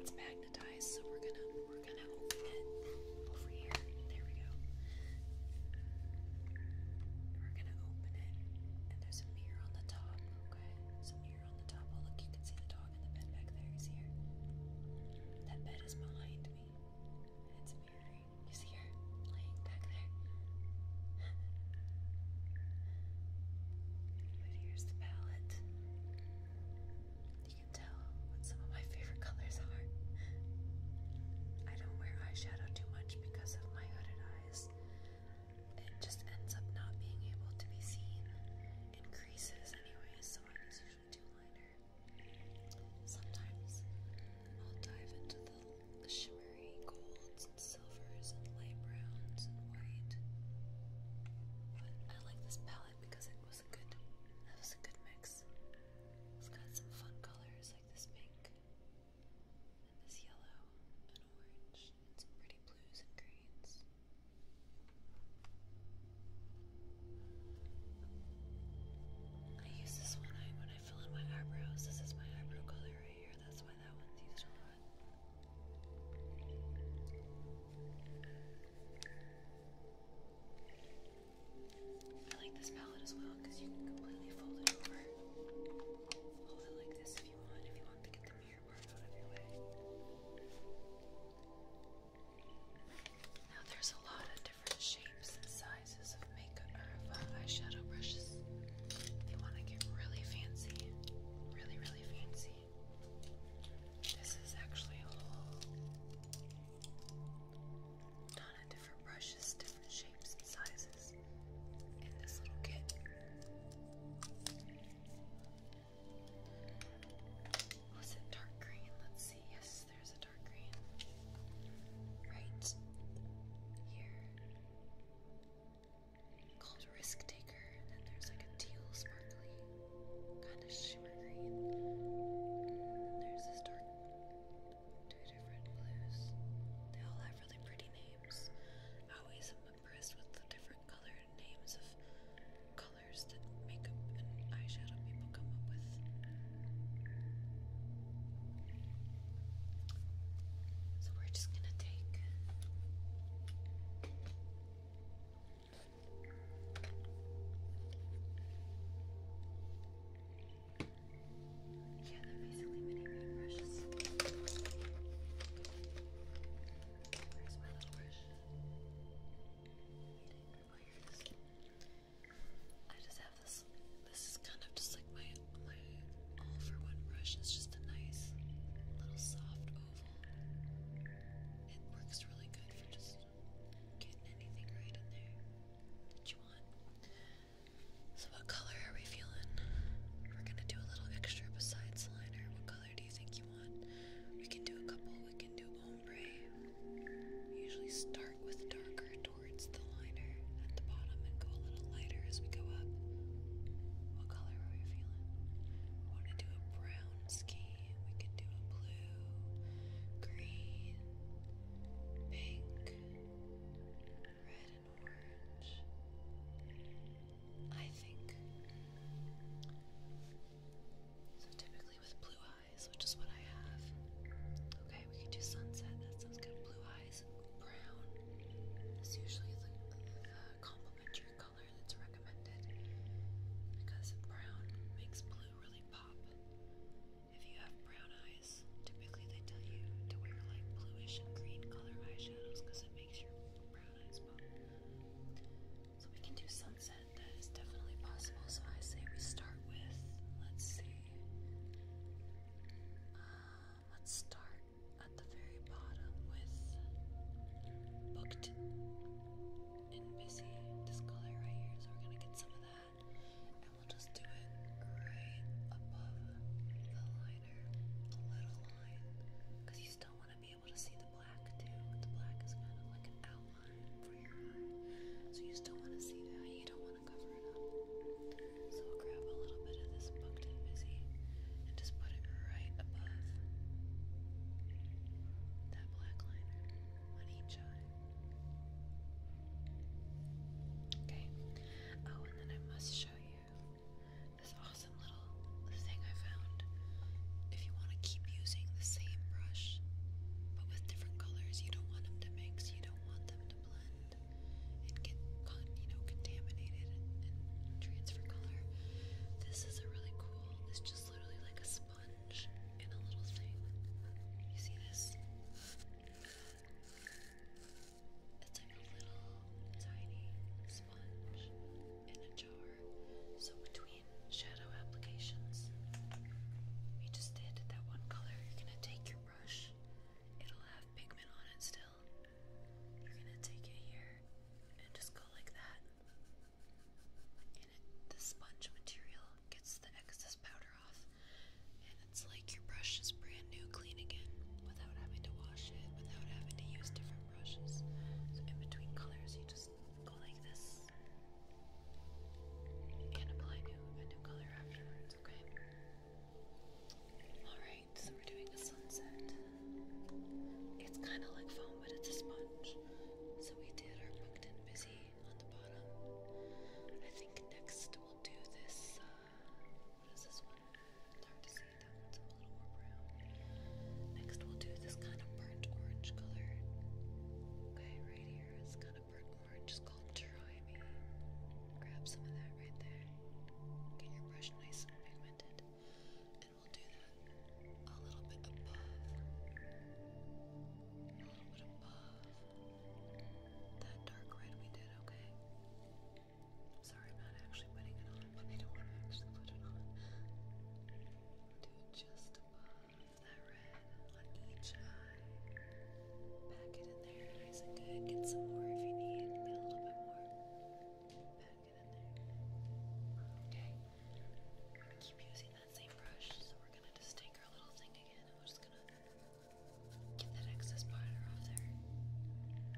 It's magnetized, so we're gonna we're gonna open it over here. There we go. We're gonna open it, and there's a mirror on the top. Okay, there's mirror on the top. Oh look, you can see the dog in the bed back there. You see That bed is behind me. it's mirroring. You see her? but here's the palette. You can tell what some of my favorite colors are. I don't wear eyeshadow too much because of my hooded eyes. It just ends up not being able to be seen in creases anyway, so I use usually do liner. Sometimes I'll dive into the shimmery golds and silvers and light browns and white. But I like this palette because it was a good that was a good mix. It's got some fun colors like this pink and this yellow and orange and some pretty blues and greens. I use this one when I fill in my eyebrows. This is my eyebrow color right here. That's why that one's used a lot. I like this palette as well because you can completely fold it over. Hold it like this if you want, if you want to get the mirror part out of your way. Now there's a lot of different shapes and sizes of makeup or uh, of eyeshadow brushes. If you want to get really fancy, really, really fancy, this is actually a whole ton of different brushes, different shapes and sizes in this little kit. Was it dark green? Let's see. Yes, there's a dark green. Right here called Risk Taker, and then there's like a teal sparkly, kind of shimmer green. there's this dark, two different blues. They all have really pretty names. I always am impressed with the different colored names of colors that makeup and eyeshadow people come up with. So we're just going to take yeah, they're basically mini brushes. Where's my little brush? I just have this. This is kind of just like my blade all for one brush. It's just a nice little soft oval. It works really good for just getting anything right in there that you want. So what color are we feeling? We're gonna do a little extra besides liner. What color do you think you want? We can do a couple. We can do ombre. usually start with darker towards the liner at the bottom and go a little lighter as we go up. What color are we feeling? want to do a brown scheme. We could do a blue, green, pink, red, and orange. I think. So typically with blue eyes, which is what I have. Okay, we can do sunset. That sounds good. Blue eyes, brown. That's usually the, uh, complementary color that's recommended because brown makes blue really pop. If you have brown eyes, typically they tell you to wear like bluish and green color eyeshadows because it makes your brown eyes pop. So we can do sunset, that is definitely possible. So I say we start with, let's see, uh, let's start at the very bottom with booked and busy. This color right here, so we're gonna get some of that, and we'll just do it right above the liner, the little line, because you still want to be able to see the black too. The black is kind of like an outline for your eye, so you still want to see that. You don't want to cover it up grab a little bit of this Moncton Busy and just put it right above that black liner on each eye. Okay. Oh, and then I must show you this awesome little thing I found. If you want to keep using the same brush, but with different colors, you don't want them to mix, you don't want them to blend and get you know contaminated and, transfer color. This is a really cool. It's just literally like a sponge in a little thing. You see this? It's like a little tiny sponge in a jar. So between shadow applications, we just did that one color. You're gonna take your brush. It'll have pigment on it still. You're gonna take it here and just go like that. And the sponge material gets the excess powder off. And it's like your brush is brand new, clean again, without having to wash it, without having to use different brushes. So in between colors, you just go like this and apply a new color afterwards, okay? Alright so we're doing a sunset. It's kind of like foam, but it's a sponge. So we did our booked and busy on the bottom. I think next we'll do this. Uh, what is this one? It's hard to see. That one's a little more brown. Next we'll do this kind of burnt orange color. Okay, right here is kind of burnt orange. just called me. Grab some of that right there. Get your brush nice and pigmented we'll do that a little bit above. A little bit above that dark red we did, okay? I'm sorry, I'm not actually putting it on, but I don't want to actually put it on. do it just above that red on each eye. Pack it in there nice and good. Get some more if you need. a little bit more get in Okay. gonna keep using that same brush, so we're gonna just take our little thing again and we're just gonna get that excess powder off there.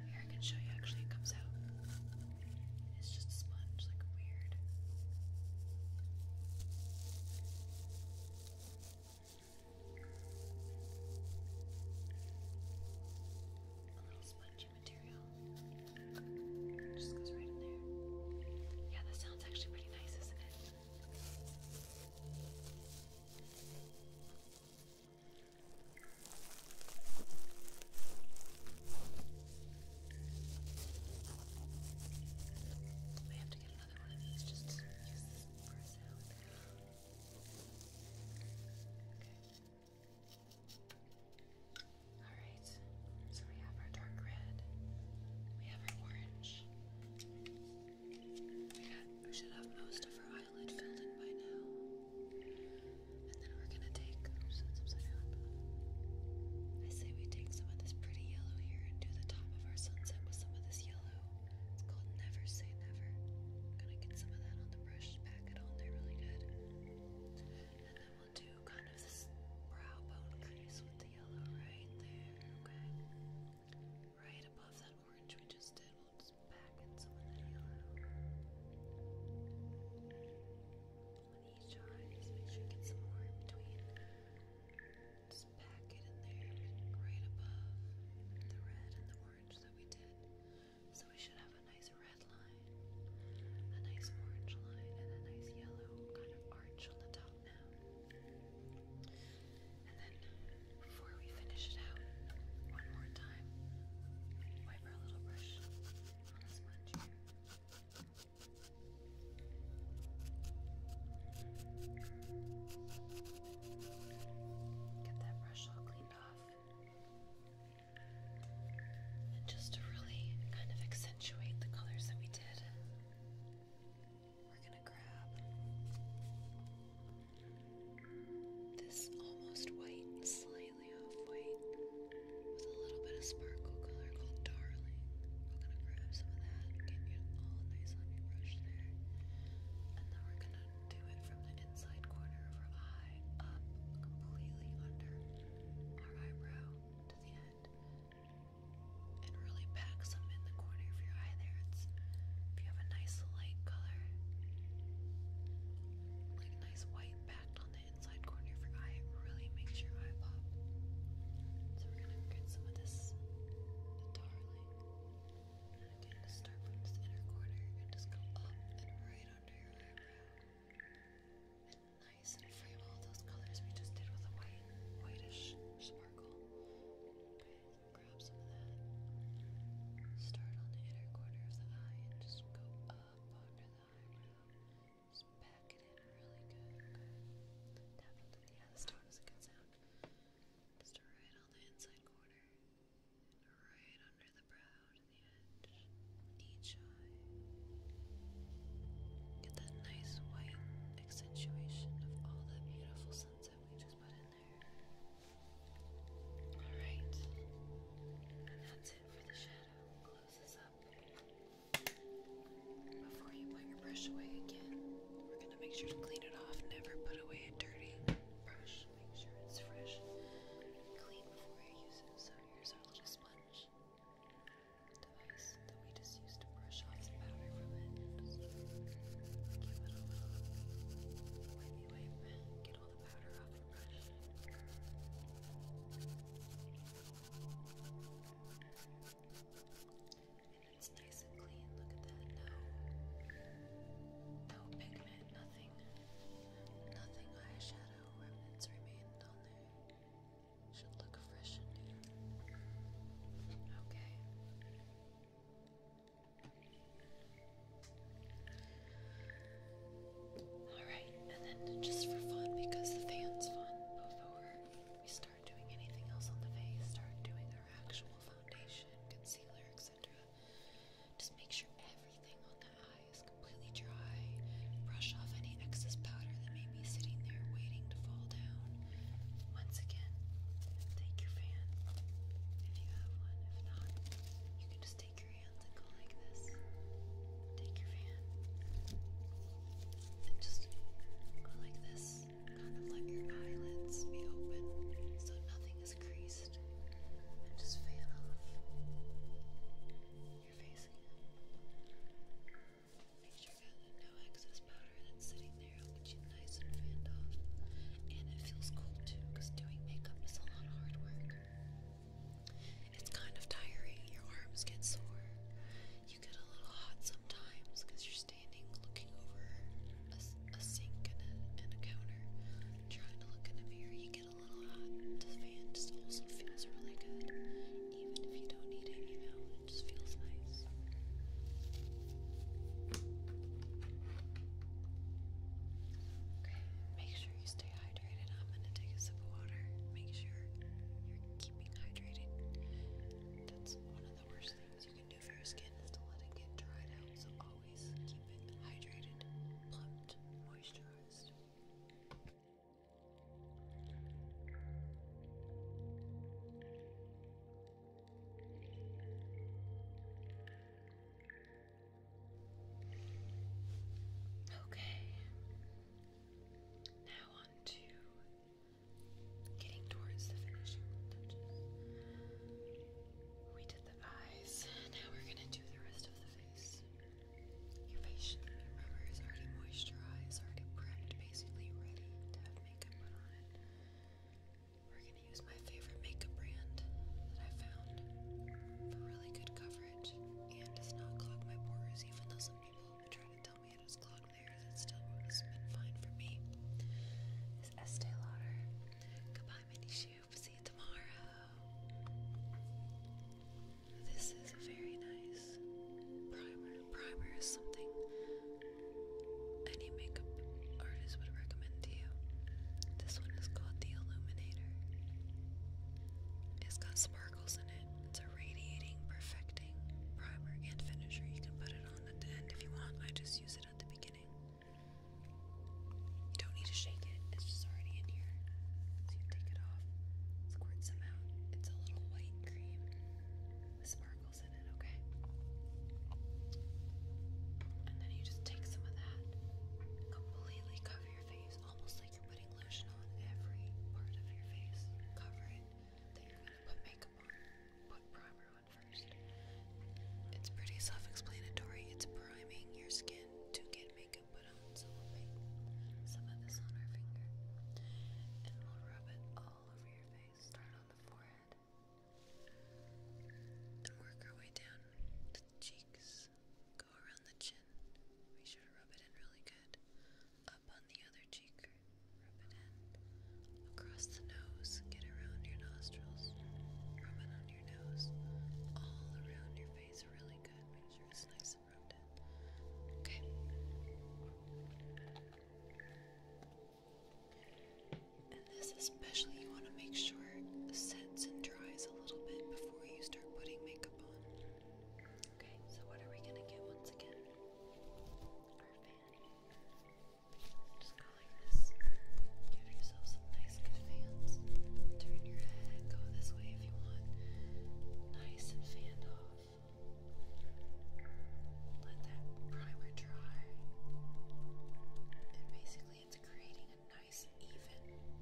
Here I can show you actually it comes out. It's just a sponge, like weird. A little spongy material. just goes right in there. Yeah, that sounds actually pretty nice, isn't it? I have to get another one of these just use this for a Okay. Alright, so we have our dark red, we have our orange. We, got, we should have most of our eyelid filled in by now. And then we're gonna take, oops, that's upside down. I say we take some of this pretty yellow here and do the top of our sunset with some of this yellow. It's called Never Say Never. gonna get some of that on the brush, pack it on there really good. And then we'll do kind of this brow bone crease with the yellow right there, okay? Right above that orange we just did, we'll just back in some of that yellow. On each eye, just make sure you get some more in between. Just pack it in there, right above the red and the orange that we did. So we should have a nice red line, a nice orange line, and a nice yellow kind of arch on the top now. And then before we finish it out, one more time, wipe our little brush on the sponge Get that brush all cleaned off. And just to really kind of accentuate the colors that we did, we're gonna grab this almost white, slightly off white, with a little bit of sparkle color called Darling. We're gonna grab some of that, get it all nice on your brush there. And then we're gonna do it from the inside corner of her eye up, completely under our eyebrow to the end and really pack some in the corner of your eye there. It's if you have a nice light color, like nice white packed on the inside corner of your eye, it really makes your eye pop. So we're gonna get some of this darling. And start from this inner corner and just go up and right under and nice and frame all those colors we just did with a white, whitish sparkle. Okay, grab some of that. Start on the inner corner of the eye and just go up under the eyebrow. Just pack it in really good. Good. Tap into the yeah, this tone is a good sound. Just right on the inside corner. And right under the brow, to Get that nice white accentuation of all that beautiful sunset we just put in there. Alright, and that's it for the shadow. Close up. Before you put your brush away again, we're going to make sure to clean it off. Never put away a dirty brush. Make sure it's fresh clean before you use it. So here's our little sponge brush device that we just used to brush off the powder from it. Just give it a little wavy wave, get all the powder off And it's nice and clean. Look at that. No, no pigment, nothing, nothing eyeshadow remnants remained on should look fresh in here. Okay. Alright, and then just for fun, because the fan's fun, before we start doing anything else on the face, start doing our actual foundation, concealer, etc. Just make sure Brush off any excess powder that may be sitting there waiting to fall down. Once again, take your fan if you have one. If not, you can just take your hands and go like this. Take your fan and just go like this. Kind of let your eyelids be open so nothing is creased. And just fan off. Make sure that the no excess powder that's sitting there will get you nice and fanned off. And it feels cool too, doing makeup is a lot of hard work. It's kind of tiring, your arms get sore. You get a little hot sometimes because you're standing looking over a, sink and a, counter, trying to look in a mirror get fan just also feels really good, make sure you stay hydrated. I'm gonna take a sip of water. Make sure you're keeping hydrated. That's one of the worst things you can do for your skin is to let it get dried out. So always keep it hydrated, plumped, moisturized. Okay, now on to getting towards the finishing touches. We did the eyes, now we're going to do the rest of the face. Your facial, your is already moisturized, already prepped, basically ready to have makeup put on We're gonna use my favorite makeup brand that I found for really good coverage and does not clog my pores, even though some people try to tell me it has clogged theirs. It's still been fine for me. Is Estee Lauder. Goodbye, mini See you tomorrow this is a very nice primer. Primer is something any makeup artist would recommend to you. This one is called the Illuminator. It's got sparkles in it. It's a radiating, perfecting primer and finisher. You can put it on at the end if you want. I just use it at the beginning. You don't need to shake it, it's just already in here. So you take it off, squirt some it's a little white cream sparkles in it, okay? And then you just take some of that, completely cover your face, almost like you're putting lotion on every part of your face. Cover it. Then you're gonna put makeup on, put primer on first. It's pretty self-explanatory. It's priming your skin to get makeup put on, so we some of this on our finger. And we'll rub it all over your face. Start on the forehead. And work our way down the cheeks. Go around the chin. Be sure to rub it in really good. Up on the other cheek. Rub it in. Across the nose. Get around your nostrils. Rub it on your nose. All around your face really good. Make sure it's nice Okay. And this especially you want to make sure sets and dries a little bit before you start putting makeup on. Okay, so what are we gonna get once again? Our fan. Just go this. Give yourself some nice good fans. Turn your head, go this way Nice and fanned off. Let that primer dry. And basically, it's creating a nice, even,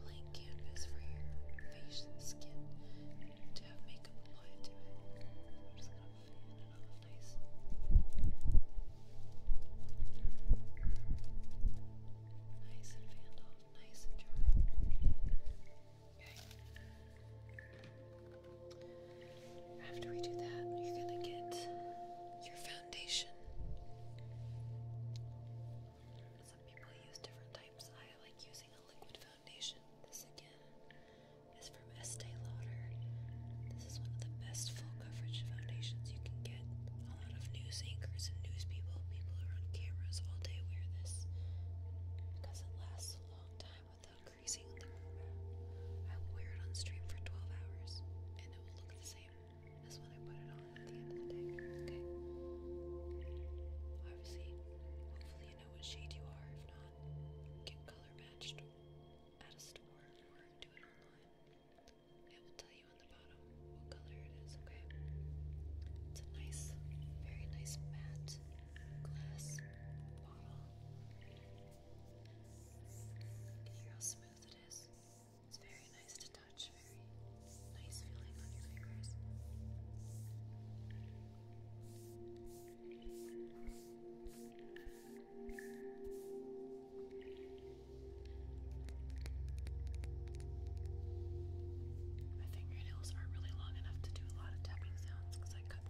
blank canvas for your face and skin to have makeup applied to it. just gonna fan it off nice and dry. After we do that, you're going to get your foundation. Some people use different types. I like using a liquid foundation. This again is from Estee Lauder. This is one of the best full coverage foundations you can get. A lot of news anchors and news people, people who are on cameras all day wear this it lasts a long time without creasing I will wear it on stream for 12 hours, and it will look the same as when I put it on at the end of the day, okay? Obviously, hopefully you know what shade you are. If not, get color matched at a store or do it online. It will tell you on the bottom what color it is, okay? It's a nice, very nice matte glass bottle. how smooth it is? It's very nice to touch, very nice feeling on your fingers. My fingernails are really long enough to do I cut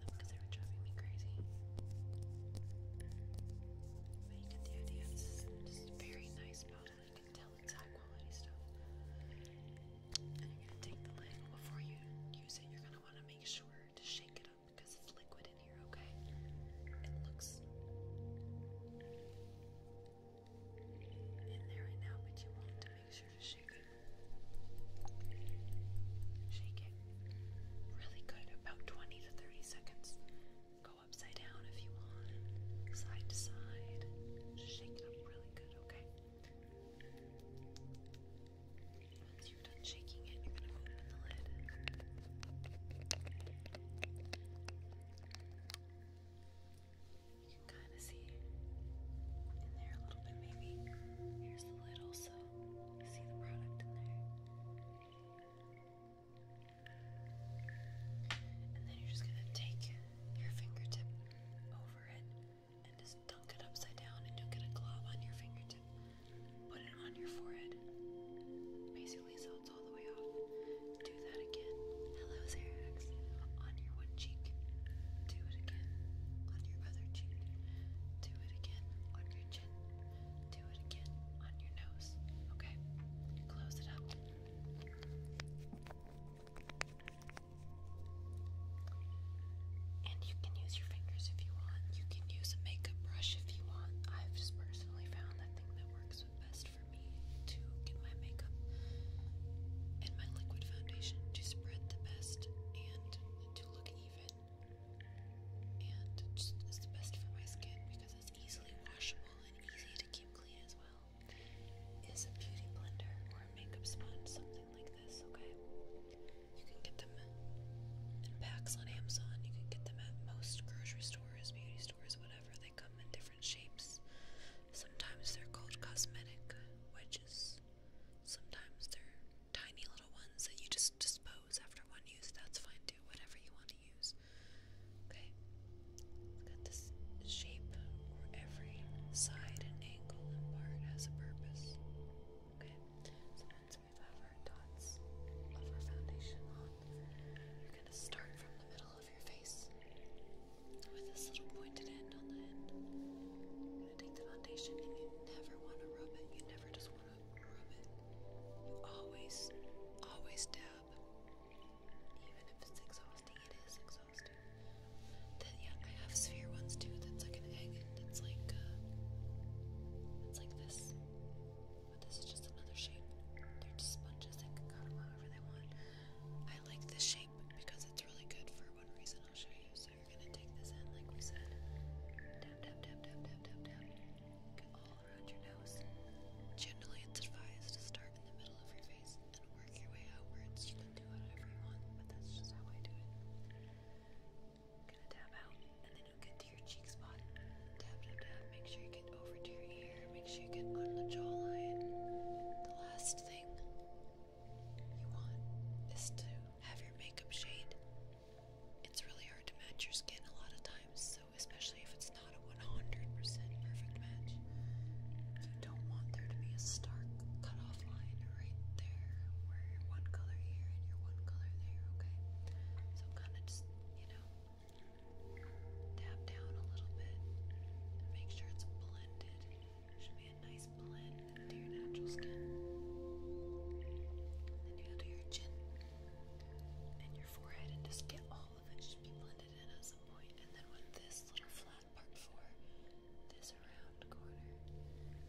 very nice bottle. You can tell it's high quality stuff. And you're gonna take the lid before you use it. You're gonna want to make sure to shake it up because it's liquid in here. Okay? It looks in there right now, but you won't shake it. Shake it really good, about 20 to 30 seconds. Go upside down if you want, side to side. shake it up really good, okay? Once you're done shaking it, you're going to open the lid. You can kind of see in there a little bit, maybe. Here's the lid also. see the product in there. And then you're just going to take your fingertip over it and just dunk it upside down and don't get a glob on your fingertip. Put it on your forehead. Basically, so it's all the way off. Do that again. Hello, Sarah relax on your one cheek. Do it again on your other cheek. Do it again on your chin. Do it again on your nose. Okay? Close it up. And you can use your fingers if you want. You can use a makeup brush if you want. I've just personally found that thing that works best for me to get my makeup and my liquid foundation to spread the best and to look even and just is the best for my skin because it's easily washable and easy to keep clean as well is a beauty blender or a makeup sponge, something like this, okay? You can get them in packs on Amazon, you can get them at most grocery stores, beauty stores, whatever. They come in different shapes. Sometimes they're called cosmetic, wedges. Sometimes they're tiny little ones that you just dispose after one use. That's fine too, whatever you want to use. Okay, look at this shape where every side and angle and part has a purpose. Okay, so once we have our dots of our foundation on, you're going to start from the middle of your face with this little pointed end on the end take the foundation and you never wanna rub it. You never just wanna rub it. You always, always dab. Even if it's exhausting, it is exhausting. yeah, I have sphere ones too. That's like an egg. That's like uh, it's like this. But this is just another shape. They're just sponges. They can cut them however they want. I like this shape because it's really good for one reason. I'll show you you're gonna take this end, like we said. Tap, tap, tap, tap, tap, tap, tap. all around your nose. Generally, it's advised to start in the middle of your face and work your way outwards. You can do whatever you want, but that's just how I do it. Gonna tap out, and then you'll get to your cheek spot. Tap, tap, tap. Make sure you get over to your ear. Make sure you get on the jawline. The last thing you want is to have your makeup shade. It's really hard to match your skin a lot of times, so especially if it's not a 100% perfect match. You don't want there to be a stark cutoff line right there where you one color here and you one color there, okay? So kind of just, you know, dab down a little bit and make sure it's blended. Should be a nice blend to your natural skin. And then you go to your chin and your forehead and just get all of it. Should be blended in at some point. And then when this little flat part for this round corner,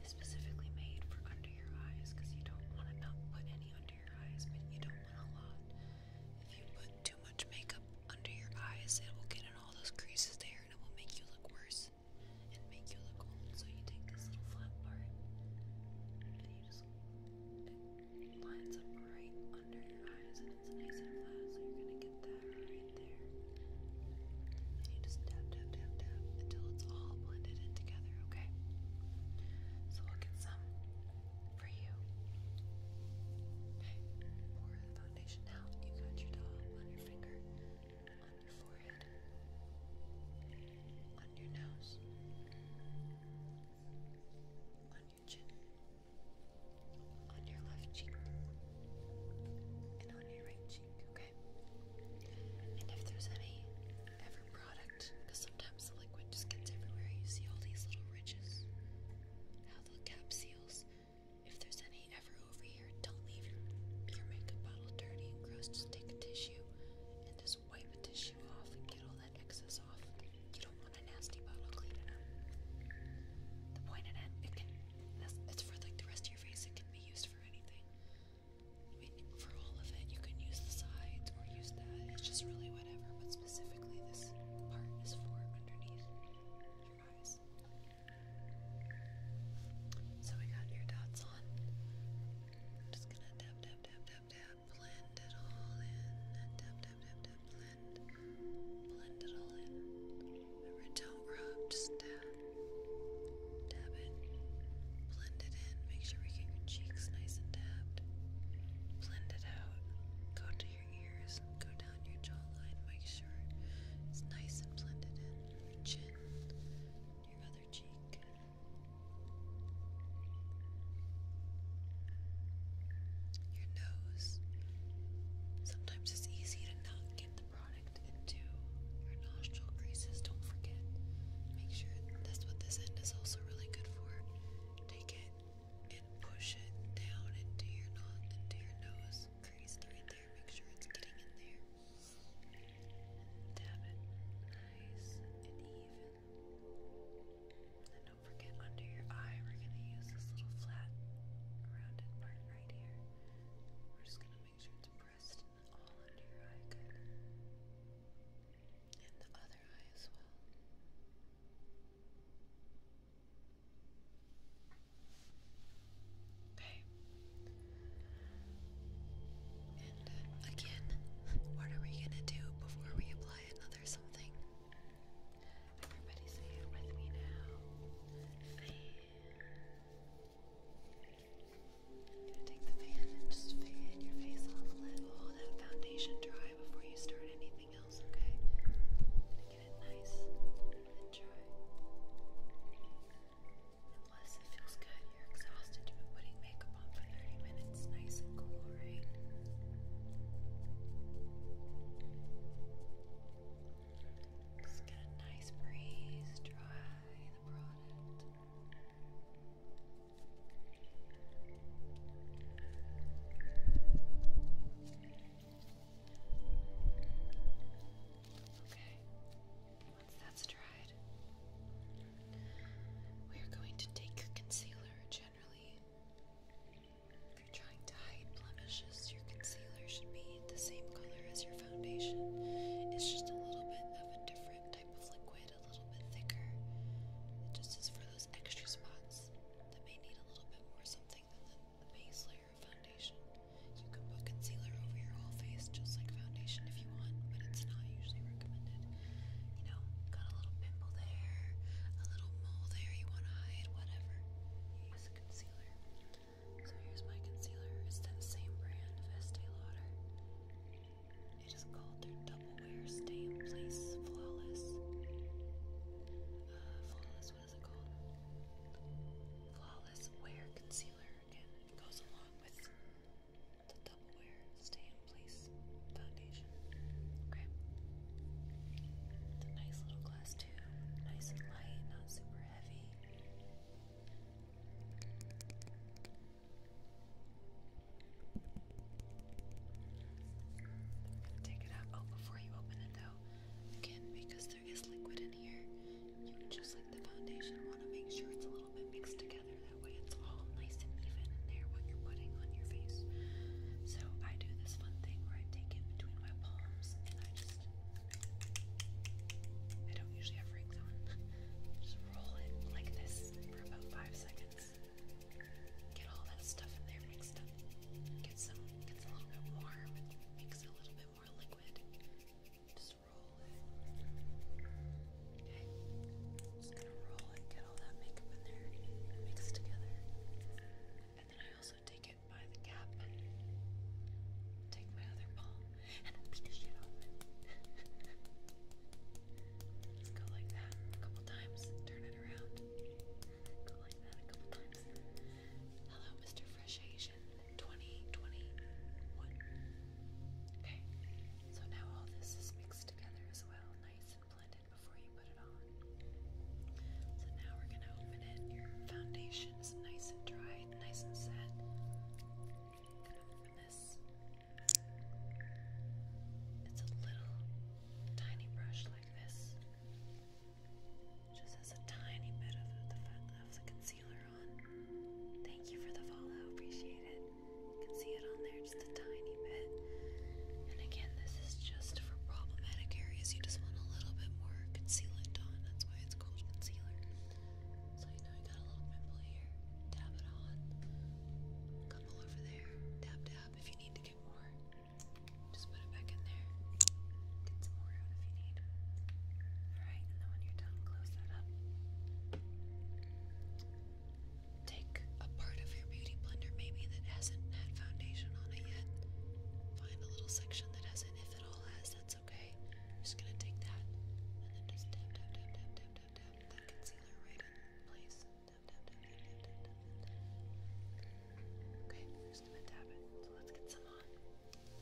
is specifically made for under your eyes because you don't want to not put any under your eyes, but you don't want a lot. If you put too much makeup under your eyes, it will get in all those creases there and it will make you look worse and make you look old. So you take this little flat part and you just lines up right under your eyes, and it's nice and flat. So you're gonna get that right there. And you just tap, tap, tap, tap until it's all blended in together. Okay. So we'll get some for you. Pour the foundation out. You got your doll on your finger, on your forehead on your nose, on your chin, on your left cheek, and on your right cheek, okay? And if there's any ever product, because sometimes the liquid just gets everywhere, you see all these little ridges, how the cap seals. If there's any ever over here, don't leave your, makeup bottle dirty and gross. Just take a tissue and just wipe a tissue off and get all that excess off. You don't want a nasty bottle cleaning up. The point in it, it can, it's for like the rest of your face, it can be used for anything. I mean, for all of it, you can use the sides or use that, it's just really whatever, but specifically this part is for underneath your eyes this. So we got your dots on. just gonna tap, tap, tap, tap, tap, blend it all in. Tap, tap, tap, tap, blend. Blend it all in. Remember, don't rub, just tap. Tap it. Blend it in. Make sure we get your cheeks nice and tapped. Blend it out. Go to your ears. Go down your jawline. Make sure it's nice and blended in. Your chin your other cheek. Your nose. Sometimes it's easy to not get the product into your nostril creases. Don't forget. Make sure that's what this end is also really good for. Take it and push it down into your not into your nose crease right there. Make sure it's getting in there. Dab it nice and even. And don't forget under your eye, we're going to use this little flat, rounded part right here. We're just going to make sure it's pressed all under your eye, good. And the other eye as well. Okay. And again, what are we gonna do before we apply another something? Everybody say it with me now. Fan. I'm gonna take the fan and just fan your face off. Let all that foundation dry before you start anything else, okay? gonna get it nice and dry plus, it feels good. You're exhausted. You've been putting makeup on for 30 minutes. Nice and cool, right? Just get a nice breeze, dry the product. Okay, once that's dried, we are going to take concealer generally. If you're trying to hide blemishes, your concealer should be the same color as your foundation. It's just a little bit of a different type of liquid, a little bit thicker. just is for those extra spots that may need a little bit more something than the base layer of foundation. You can put concealer over your whole face just like foundation if you want, but it's not usually recommended. You know, got a little pimple there, a little mole there you want to hide, whatever. You use a concealer. So here's my concealer. It's that same brand Estee Lauder. It is called their Double Wear Stay in Place Flawless. Uh, flawless, what is it called? Flawless Wear Concealer it goes along with the double wear, Stay in Place foundation. Okay. It's a nice little glass tube, nice and light, not super heavy. Take it out. Oh, before you open it though, again, because there is liquid in here, just like the foundation want to make sure it's a little bit mixed together that way it's all nice and even in there when you're putting on your face so I do this fun thing where I take it between my palms and I just I don't usually have rings on just roll it like this for about five seconds get all that stuff in there mixed up get some gets a little bit warm and makes it a little bit more liquid just just gonna roll it, get all that makeup in there, mix together. And then I also take it by the cap. Take my other palm and beat the shit off Let's go like that a couple times. Turn it around. Go like that a couple times. Hello, Mr. Fresh Asian. 2021. Okay, so now all this is mixed together as well, nice and blended before you put it on. So now we're going to open it. Your foundation is nice and dry, nice and set. going to open this. It's a little tiny brush like this. Just has a tiny bit of the concealer Thank you for the follow. Appreciate it. You can see it on there just a tiny bit. And again, this is just for problematic areas. You just want a little bit more concealant on. That's why it's called concealer. So you know you got a little pimple here. Dab it on. Couple over there. Dab, dab. If you need to get more, just put it back in there. Get some more out if you need. Alright, and then when you're done, close that up. Take a part of your beauty blender, maybe that hasn't had foundation on it yet. Find a little section that hasn't, if it all has, that's okay. just gonna take that and then just tap, tap, tap, tap, tap, tap, tap that concealer right in place. Okay, just gonna tap it. So let's get some on.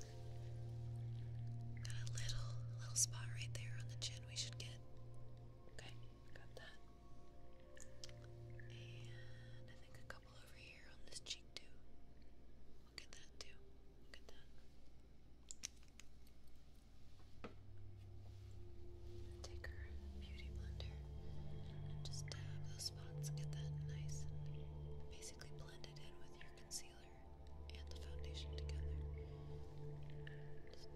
Got a little, little spot right there on the chin we should get. Okay, got that. And I think a couple over here on this cheek too. Look at that too. Look at that. Take our beauty blender just dab uh, those spots, get that nice and basically blend in with your concealer and the foundation together. Just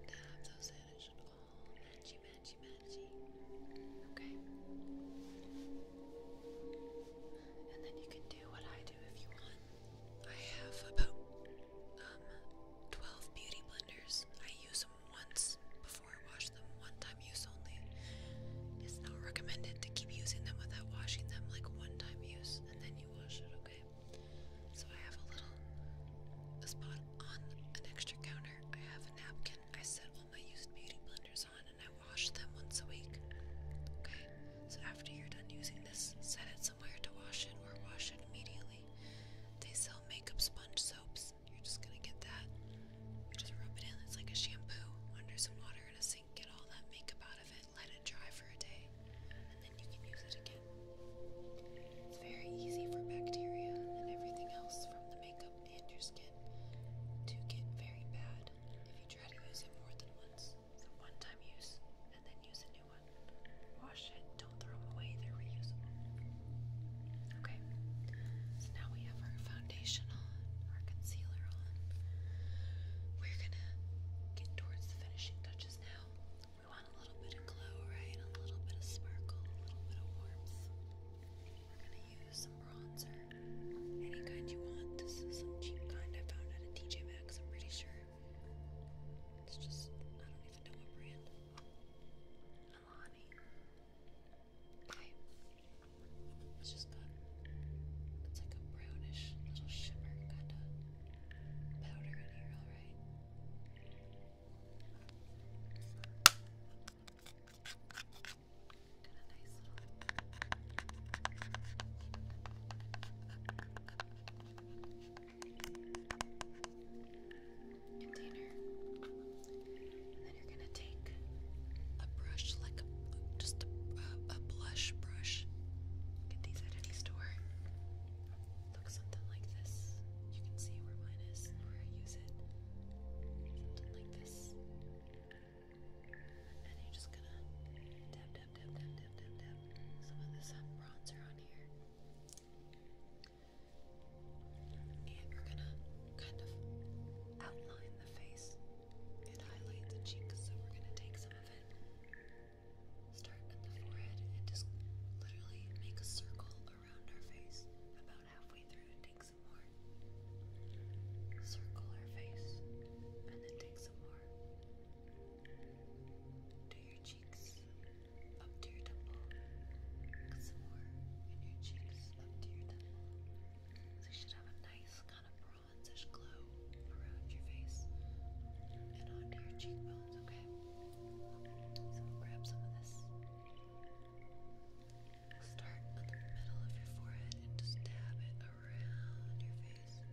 dab those in. all matchy, matchy, matchy. Okay? And then you can do what I do if you want. I have about um, 12 beauty blenders. I use them once before I wash them, one time use only. It's not recommended to keep using them without washing them, like one time use, and then you wash it, okay? So I have a little a spot on an extra counter. I have a napkin. I set all my used beauty blenders on and I wash them once a week. Okay? So after you're done using this, set it somewhere to wash it or wash it immediately. They sell makeup sponge soaps. You're just gonna get that. You just rub it in. It's like a shampoo under some water in a sink. Get all that makeup out of it let it dry for a day, and then you can use it again. It's very easy for bacteria and everything else from the makeup and your skin to get very bad if you try to use it more than once. So one time use and then use a new one. Wash it, don't throw them away, they're reusable. Okay, so now we have our foundation on, our concealer on. We're gonna get towards the finishing touches now. We want a little bit of glow, right? A little bit of sparkle, a little bit of warmth. We're going to use some bronzer, any kind you want. some cheap kind I found at a TJ Maxx, I'm pretty sure. It's just, I don't even know what brand. Alani. It's just got, it's like a brownish little shimmer kind of powder in here, all right? And then you're gonna take a brush, like just a blush brush. Get these at any store looks something like this. You can see where mine is, where I use it. like this. And you're just gonna dab, dab, dab, dab, dab, dab, dab some of this bronzer on here. And we're gonna kind of outline the face and highlight the cheeks, so we're gonna take some of it Start at the forehead and just literally make a circle around our face. About halfway through, take some more. Circle our face and then take some more. Do your cheeks up to your temple. Get some more in your cheeks up to your temple. They should have a nice kind of bronzish glow around your face and onto your cheekbones, okay? So I'll grab some of this. Start in the middle of your forehead and just dab it around your face.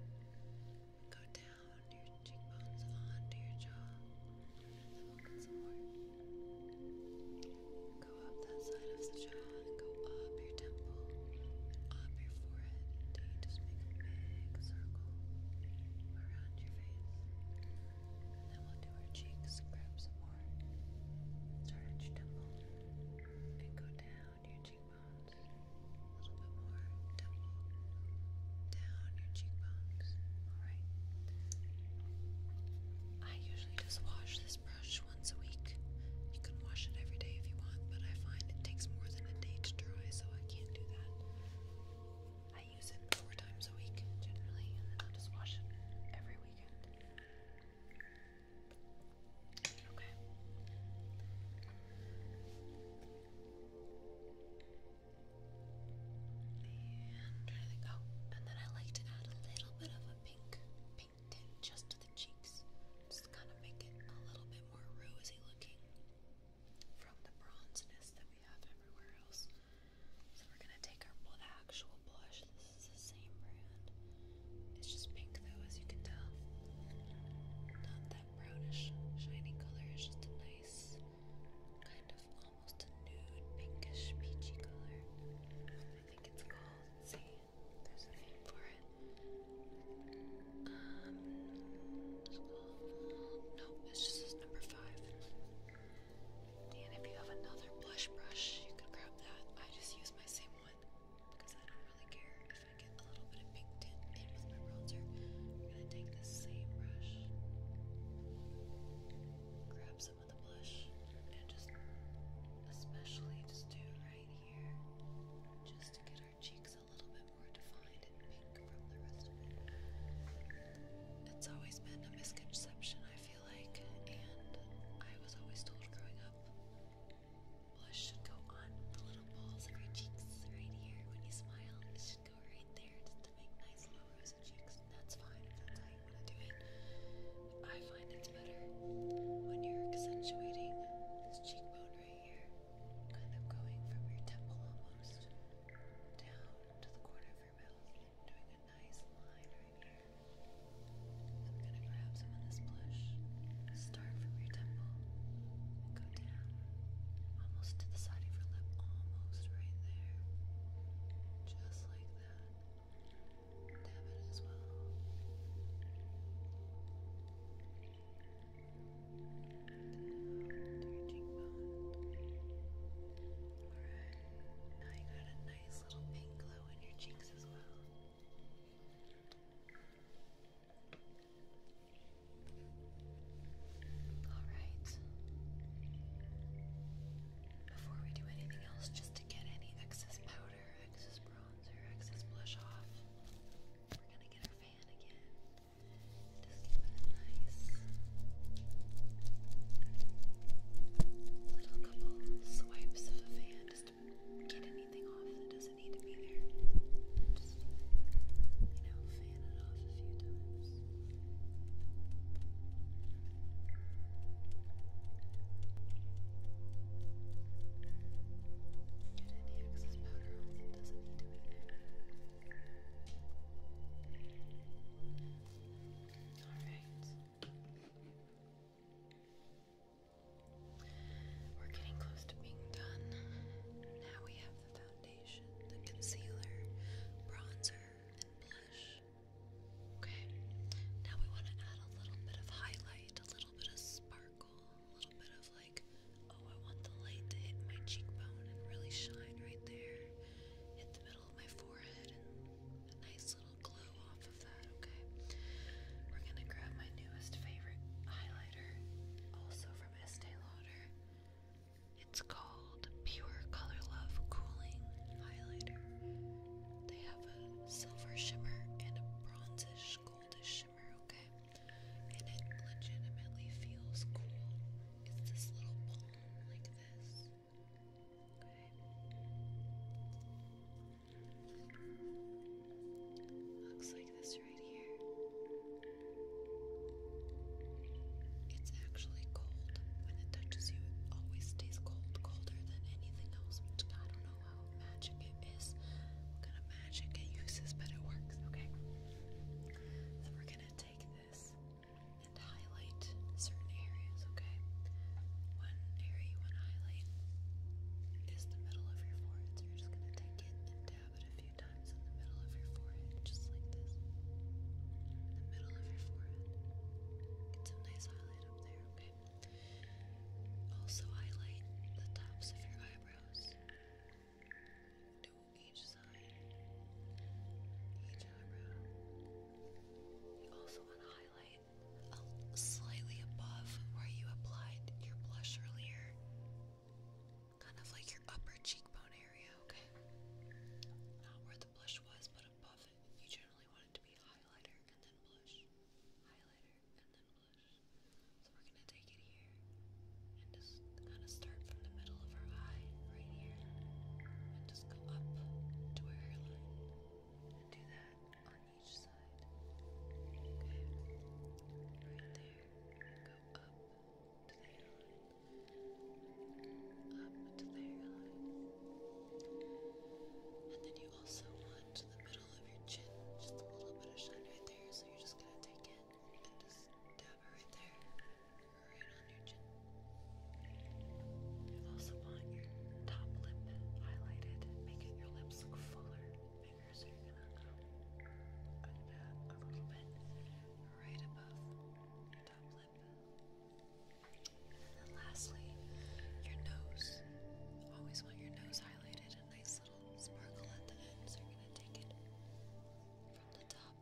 Go down your cheekbones onto your jaw. So we'll get some more. Go up that side of the jaw and go up your temple, up your forehead until just make a big circle around your face. And then we'll do our cheeks, grab some more stretch temple, and go down your cheekbones. A little bit more temple, down your cheekbones. Alright. I usually just wash this brush once a week. You can wash it every day if you want, but I find it takes more than a day to dry, so I can't do that. I use it four times a week generally, and then I'll just wash it every weekend. Okay. And then I like to add a little bit of a pink, pink tint just to the cheeks, just kind of make it a little bit more rosy looking from the bronziness that we have everywhere else. So we're gonna take our actual blush. This is the same brand. It's just pink though, as you can tell. Not that brownish, shiny color. It's just a nice, kind of almost a nude, pinkish, peachy color. I think it's called. see, there's a name for it. Um, Nope, it's just this number five. And if you have another blush brush, you can grab that. I just use my same one because I don't really care if I get a little bit of pink tint in my bronzer. I'm gonna take the same brush, grab some of the blush, and just especially just do right here, just to get our cheeks a little bit more defined and pink from the rest of it. It's always been a misconception, I feel like, and I was always told growing up blush should go on the little balls of your cheeks right here when you smile. It should go right there just to make nice little rosy cheeks. That's fine if that's how you want to do it. I find it's better when you're accentuating this cheekbone right here, kind of going from your temple almost. Down down to the corner of your mouth, doing a nice line right here. I'm gonna grab some of this blush, start from your temple, go down, almost to the side of your lip, almost right there, just like that. Dab it as well now you got a nice little pink glow in your cheeks as well. Alright. Before we do anything else, just to get any excess powder, excess bronzer, excess blush off, we're gonna get our fan again. Just put a nice little couple swipes of a fan just to get anything off that doesn't need to be there. Just, you know, fan it off a few times. Get any excess powder off that doesn't need to be there. Alright. We're getting close to being done. Now we have the foundation, the concealer, bronzer, and blush. Okay. Now we want to add a little bit of highlight, a little bit of sparkle, a little bit of like, oh, I want the light to hit my cheekbone and really shine right there hit the middle of my forehead a nice little glow off of that, okay? We're gonna grab my newest favorite highlighter, also from Estee Lauder. It's called Pure Color Love Cooling Highlighter. They have a silver shimmer and a bronzish, goldish shimmer, okay? And it legitimately feels cool. It's this little Looks like this right here. It's actually cold. When it touches you, it always stays cold, colder than anything else, I don't know how magic it is. kind of magic it uses, but it works, okay? So we're gonna take this and highlight certain areas, okay? One area you want to highlight is the middle of your forehead. So you're just going to take it and dab it a few times in the middle of your forehead, just like this. the middle of your forehead. Get some nice highlight up there, okay? Also highlight the tops of your eyebrows each side, each eyebrow. You also want to highlight slightly above where you applied your blush earlier, kind of like your upper cheekbone area, okay? Not where the blush was, but above it. You generally want it to be highlighter and then blush, highlighter and then blush. So we're going to take it here and just kind of start from the middle of her eye, right here, and just go up to her hairline. And do that on each side. Okay? Right there. Go up to the hairline. Up to the hairline. And then you also want the middle of your chin, just a little bit of shine right there, so you're just gonna take it and just dab it right there right also want your top lip highlighted, making your lips look fuller. so you're gonna go a little bit right above your top lip. And then lastly, your nose. Always want your nose highlighted, a nice little sparkle at the end. So you're gonna take it from the top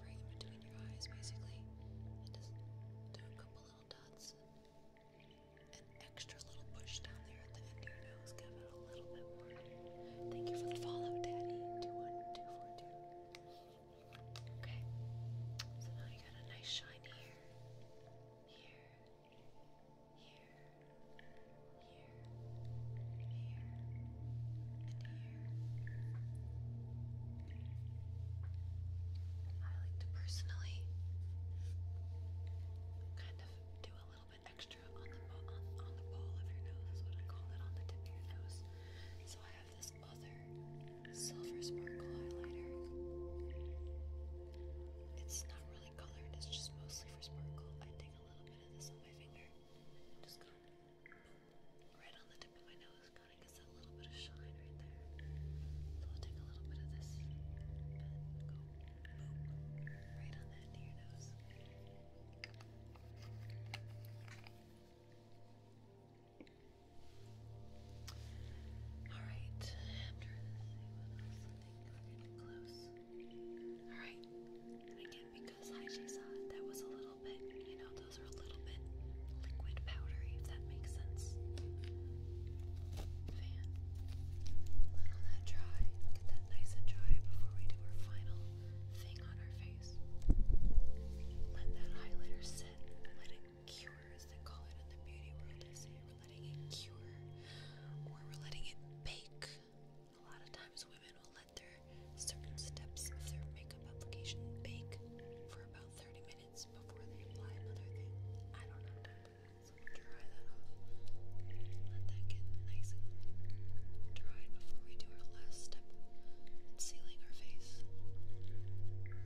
Breathe them between your eyes, basically. And just do a couple little dots. An extra little push down there at the end of your nose. Give it a little bit more. Thank you for the follow, Daddy. 21242. Okay. So now you got a nice shine here. Here. Here. Here. Here. I like to personally kind of do a little bit extra on the on, the bowl of your nose is what I call it on the tip of your nose. So I have this other silver sparkle highlighter. It's not really colored, it's just mostly for sparkle. I take a little bit of this on my finger right on the tip of my nose, kinda gets that little bit of shine right there. So I'll take a little bit of this and go right on the end of your nose. Alright, after this, see what I think we that was a little bit, you know, those are a little bit liquid powdery, if that makes sense. Let that dry. Get that nice and dry before we do our final thing on our face. Let that highlighter sit. Let it cure, as they call it in the beauty world. They say we're letting it cure or we're letting it bake. A lot of times women let their certain steps of their makeup application bake for about 30 minutes before they apply another thing. I don't know, so dry that off. Let that get nice and dried before we do our last step sealing our face. Okay.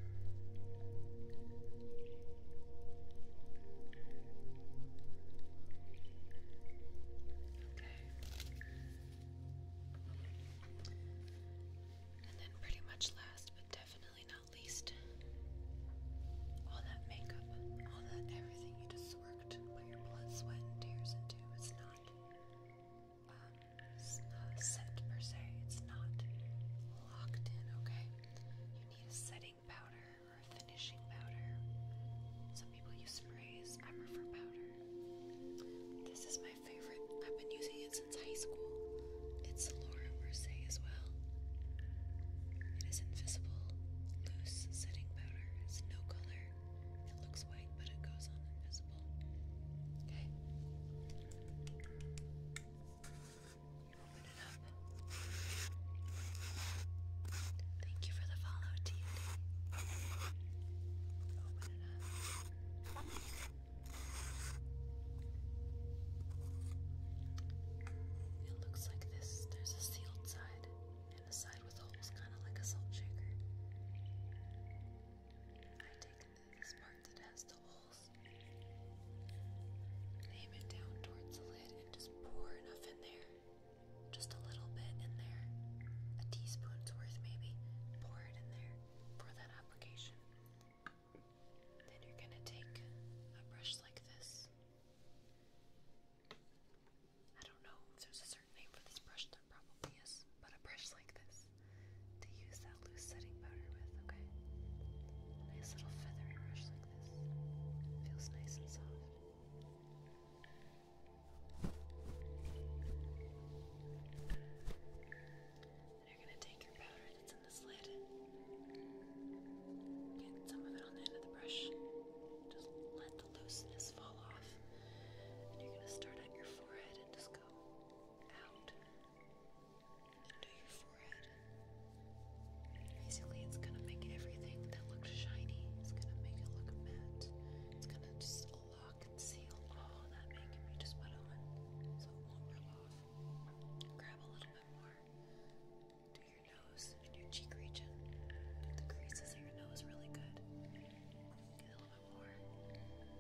And then, pretty much last but definitely not least, all that makeup, all that everything you just worked, put your blood, sweat, and tears into, it's not, um, set per se, it's not locked in, okay? You need a setting powder or a finishing powder. Some people use sprays, I prefer powder. This is my favorite. I've been using it since high school. It's Laura Mercier as well. It is invisible, loose setting powder. It's no color. It looks white, but it goes on invisible. Okay. open it up. Thank you for the follow, TNT. Open it up. It looks like this. There's a sealed side and a side with holes, kind of like a salt shaker. I take this part that has the holes, aim it down towards the lid, and just pour enough in there. Just a little bit in there. A teaspoon's worth, maybe. Pour it in there for that application. Then you're going to take a brush like this. I don't know if there's a certain name for this brush, there probably is, but a brush like this to use that loose setting powder with, okay? nice little feathery brush like this. Feels nice and soft. And you're gonna take your powder that's in this lid, get some of it on the end of the brush, just let the looseness fall off, and you're gonna start on your forehead and just go out into your forehead. Basically, it's gonna make everything that looks shiny, it's gonna make it look matte, it's gonna just lock and all oh, that makeup you just put on so it won't rub off. Grab a little bit more to your nose and your cheek region. The creases of your nose really good. Get a little bit more.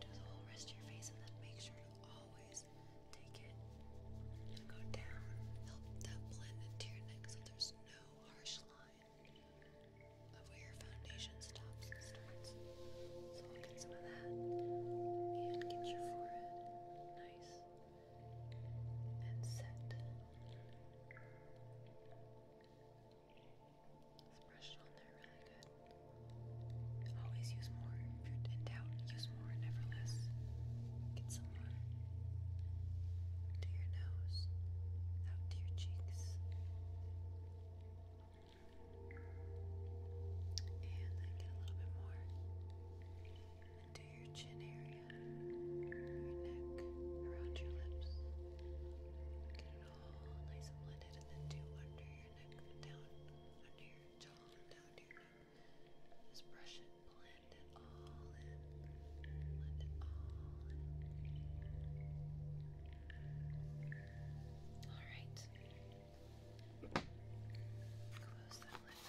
Do the whole rest of your face and then make sure you always take it and go down. Help that blend into your neck so there's no harsh line of where your foundation stops and starts. So I'll get some of that and get your forehead nice and set. let brush it on there really good. Always use more. in doubt, use more, never less. Get some more to your nose, out to your cheeks. And then get a little bit more into your chin area, your neck, around your lips. Get it all nice and blended, and then do under your neck, down under your jaw, down to Just brush it, blend it all in, blend it all in. All right. Close that lid back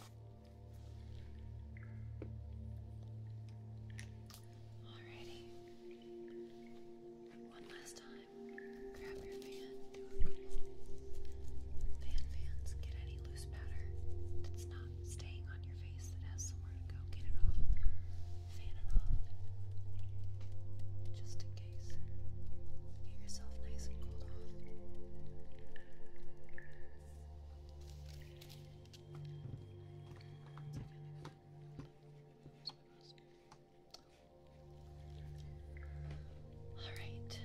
up. Alrighty. One last time. Grab your fan, do a couple fan fans, get any loose powder that's not staying on your face that has somewhere to go, get it off just in case. Get yourself nice and cooled off. Alright.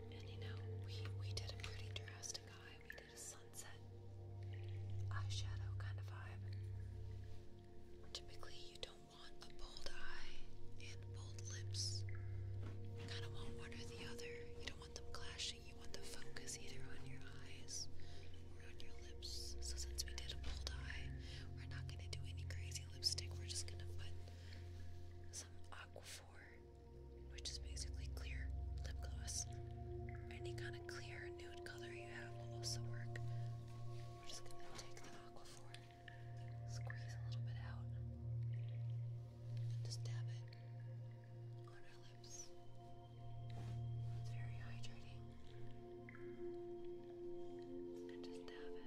And you know, we we did a pretty drastic sunset eyeshadow kind of vibe. Typically, you don't want a bold eye and bold lips. kind of want one or the other. You don't want them clashing. You want the focus either on your eyes or on your lips. So since we did a bold eye, we're not going to do any crazy lipstick. We're just going to put some Aquaphor, which is basically clear lip gloss. Any kind of clear whatever nude color you have will also work. We're just gonna take the aqua four, squeeze a little bit out, and just dab it on our lips. It's very hydrating. And just dab it.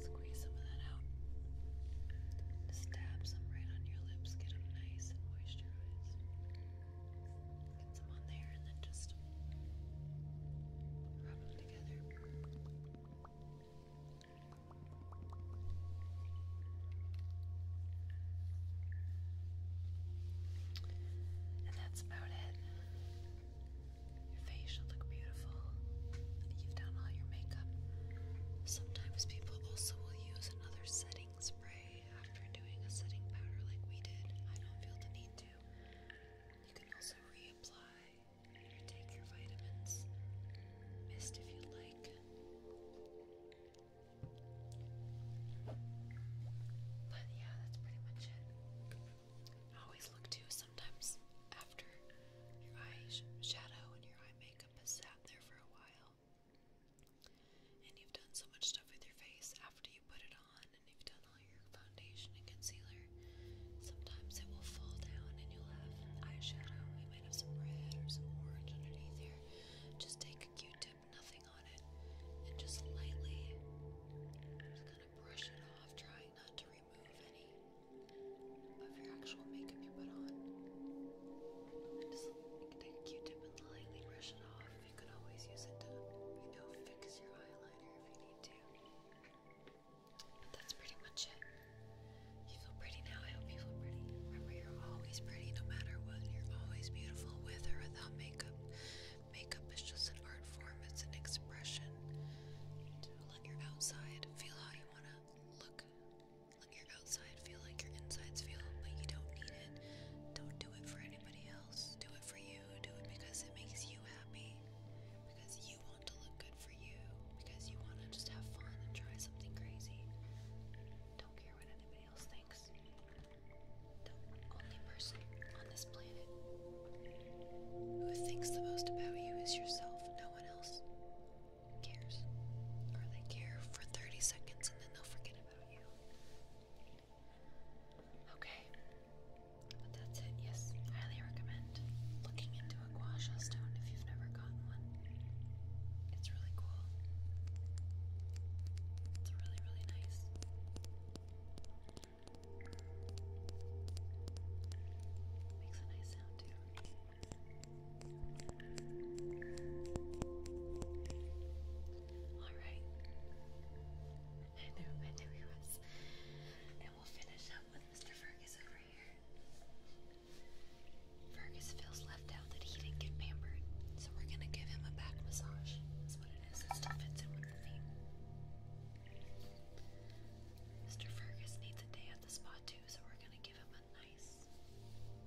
So I'll get some for you. Squeeze some of that out. Just dab some right on your lips, get them nice and moisturized. Get some on there and then just rub them together. And that's about it. Your face should look beautiful. You've done all your makeup. Sometimes people also will use another setting spray after doing a setting powder like we did. I don't feel the need to. You can also reapply or take your vitamins. Mist if you like. But yeah, that's pretty much it. always look too sometimes after your eye shadow and your eye makeup has sat there for a while. And you've done so much stuff with your face after you put it on, and you've done all your foundation and concealer. Sometimes it will fall down, and you'll have eyeshadow. You might have some red or some orange underneath here. Just take a Q-tip, nothing on it, and just lightly, just kind of brush it off, trying not to remove any of your actual makeup you put on. Just take a Q-tip and lightly brush it off. You could always use it to, you know, fix your eyeliner if you need to. But that's pretty much it. You feel pretty now. I hope you feel pretty. Remember, you're always pretty no matter what. You're always beautiful with or without makeup. Makeup is just an art form, it's an expression. To let your outside feel how you want to look. Let your outside feel, like your insides feel, but you don't need it. Don't do it for anybody else. Do it for you. Do it because it makes you happy. Because you want to look good for you. Because you want to just have fun and try something crazy. Don't care what anybody else thinks. The only person on this planet who thinks the most about you is yourself. No one else cares. Or they care for 30 seconds and then they'll forget Okay, but that's it. Yes, highly recommend looking into a gua stone if you've never gotten one. It's really cool. It's really, really nice. Makes a nice sound too. Alright. I knew, I knew he was. And we'll finish up with Mr. Fergus over here. Fergus feels left out that he didn't get pampered, so we're gonna give him a back massage. That's what it is. still fits in with the theme. Mr. Fergus needs a day at the spa too, so we're gonna give him a nice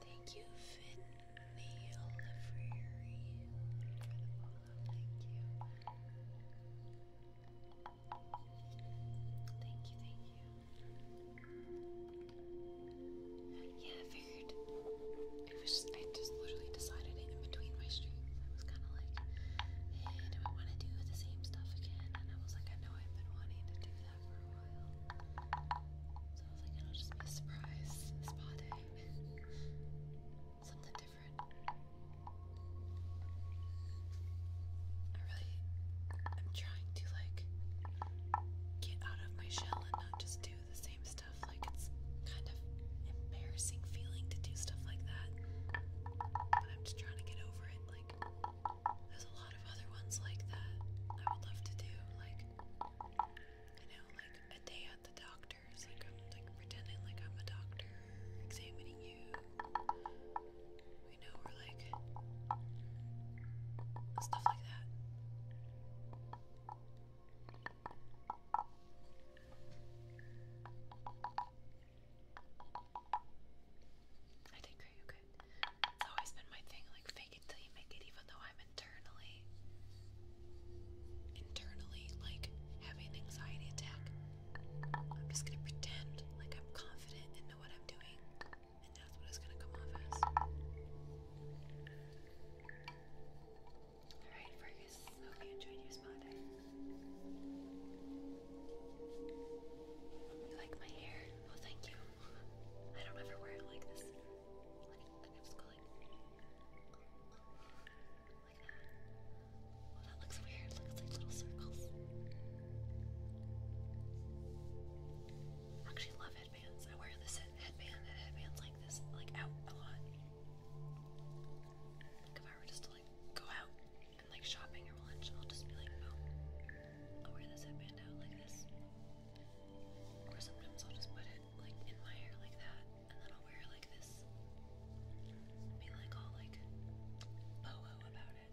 Thank you, Finley Olivery, for the follow. Thank you. Thank you, thank you. Yeah, I figured. It was just, I just literally decided it in between my streams. I was kind of like, hey, I want to do the same stuff again? And I was like, I know I've been wanting to do that for a while. So I was like, it'll just be a surprise spa day. something different. I really am trying to like get out of my shell and not just do the same stuff. Like it's kind of embarrassing feeling to do stuff like that. But I'm just trying to get over it. Like there's a lot of other ones like that I would love to do. Like you know, like a day at the doctor. Like I'm like pretending like I'm a doctor examining you. You know, or like stuff like that. I think are you It's always been my thing, like fake it you make it, even though I'm internally internally like having an anxiety attack. I'm just gonna pretend like I'm confident and know what I'm doing, and that's what it's gonna come off as. Alright, Fergus, hope you enjoyed your spa day. You like my hair? Well, oh, thank you. I don't ever wear it like this that. looks weird. looks like little circles. I actually love headbands. I wear this headband headbands like this, like out a lot. Like if I were just to like go out and like shopping or lunch, I'll just be like, oh, I'll wear this headband out like this. Or sometimes I'll just put it like in my hair like that, and then I'll wear like be like all like boho about it.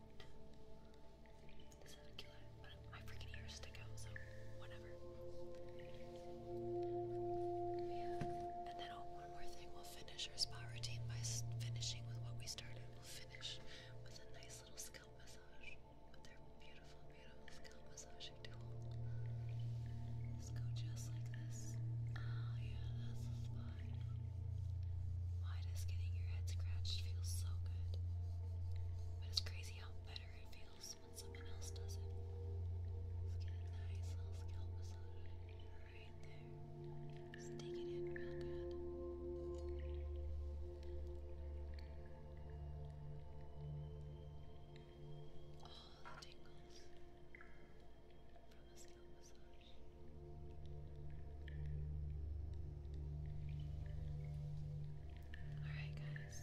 This freaking ears stick out, so whatever. And then oh, one more thing, we'll finish our spa routine by finishing with what we started. We'll finish with a nice little scalp massage with their beautiful, beautiful scalp massaging tool. Let's go just like this. Oh yeah, that's the spot. Why does getting your head scratched feel so good? But it's crazy how better it feels when someone else does it. Let's get a nice little scalp massage right there. Just it in real good. All the tingles from the scalp. Alright, guys.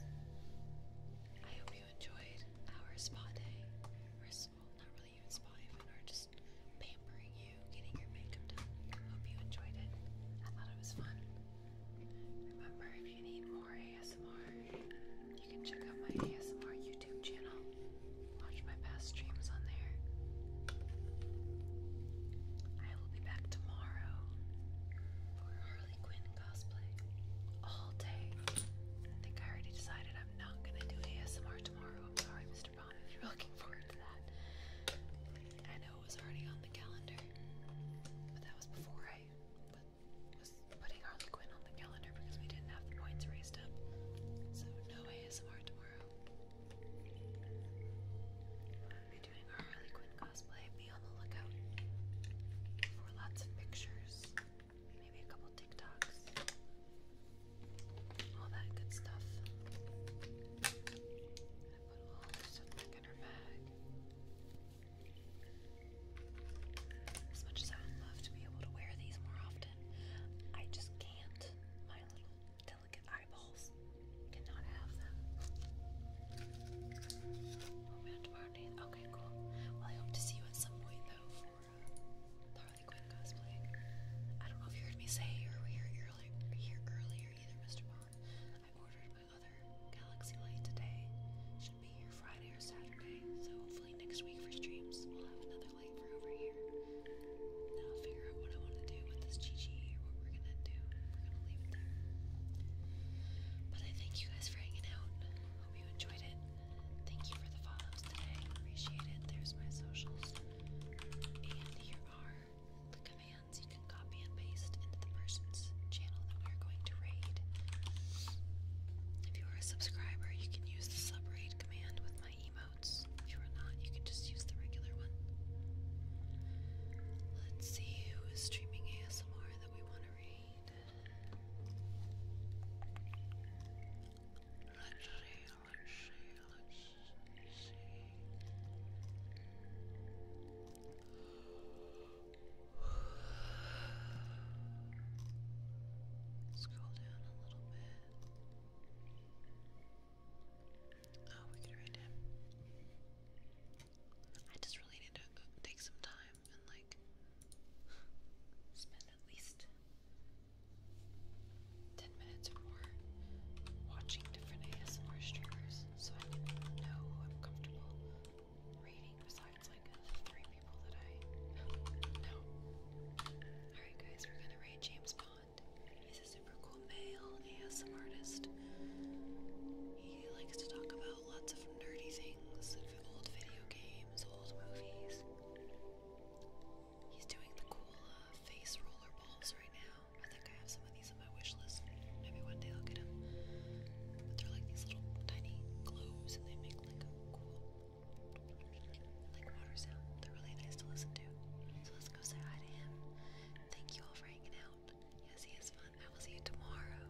I hope you enjoyed our spa day. Or, well, not really even spa, even or just pampering you, getting your makeup done. Hope you enjoyed it. I thought it was fun. Remember, if you need more ASMR, you can check out my ASMR YouTube YouTube channel. Watch my past streams on there. I will be back tomorrow for Harley Quinn cosplay all day. I think I already decided I'm not gonna do ASMR tomorrow. I'm sorry, Mr. Bond, if you're looking forward to that. I know it was already on the calendar, but that was before I put, was putting Harley Quinn on the calendar because we didn't have the points raised up. So no ASMR tomorrow. We'll doing our Harley Quinn cosplay. Be on the lookout for lots of pictures, maybe a couple TikToks, all that good stuff. I put all this stuff back in her bag. As much as I would love to be able to wear these more often, I just can't. Okay, cool. Well, I hope to see you at some point though for uh, cosplay. I don't know if you heard me say you were here earlier, here earlier either, Mr. Bond. I ordered my other Galaxy Light today. Should be here Friday or Saturday, so hopefully next week for streams we'll have another but I thank you guys for hanging out. Hope you enjoyed it. Thank you for the follows today. Appreciate it. There's my socials. And here are the commands you can copy and paste into the person's channel that we are going to raid. If you are a subscriber, you can use the sub raid command with my emote. If you are not, you can just use the regular one. Let's see who is streaming ASMR that we want to read. Let's see, let's see, let's see. Scroll down a little bit. Oh, we could write him. I just really need to take some time and like spend at least 10 minutes or more watching different ASMR streamers so I know who I'm comfortable reading besides like the three people that I know. Alright guys, we're gonna rate James Bond. He's a super cool male ASM artist. He likes to talk about lots of nerdy things, old video games, old movies. He's doing the cool uh, face roller balls right now. I think I have some of these on my wish list. Maybe one day I'll get them. But they're like these little tiny globes, and they make like a cool like water sound. They're really nice to listen to. So let's go say hi to him. Thank you all for hanging out. Yes, he is fun. I will see you tomorrow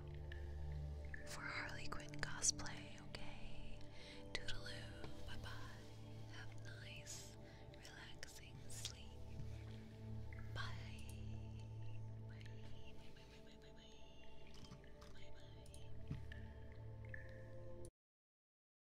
for Harley Quinn cosplay, okay? Toodaloo. Bye bye. Have nice, relaxing sleep. Bye. Bye. Bye bye bye bye bye bye. Bye bye.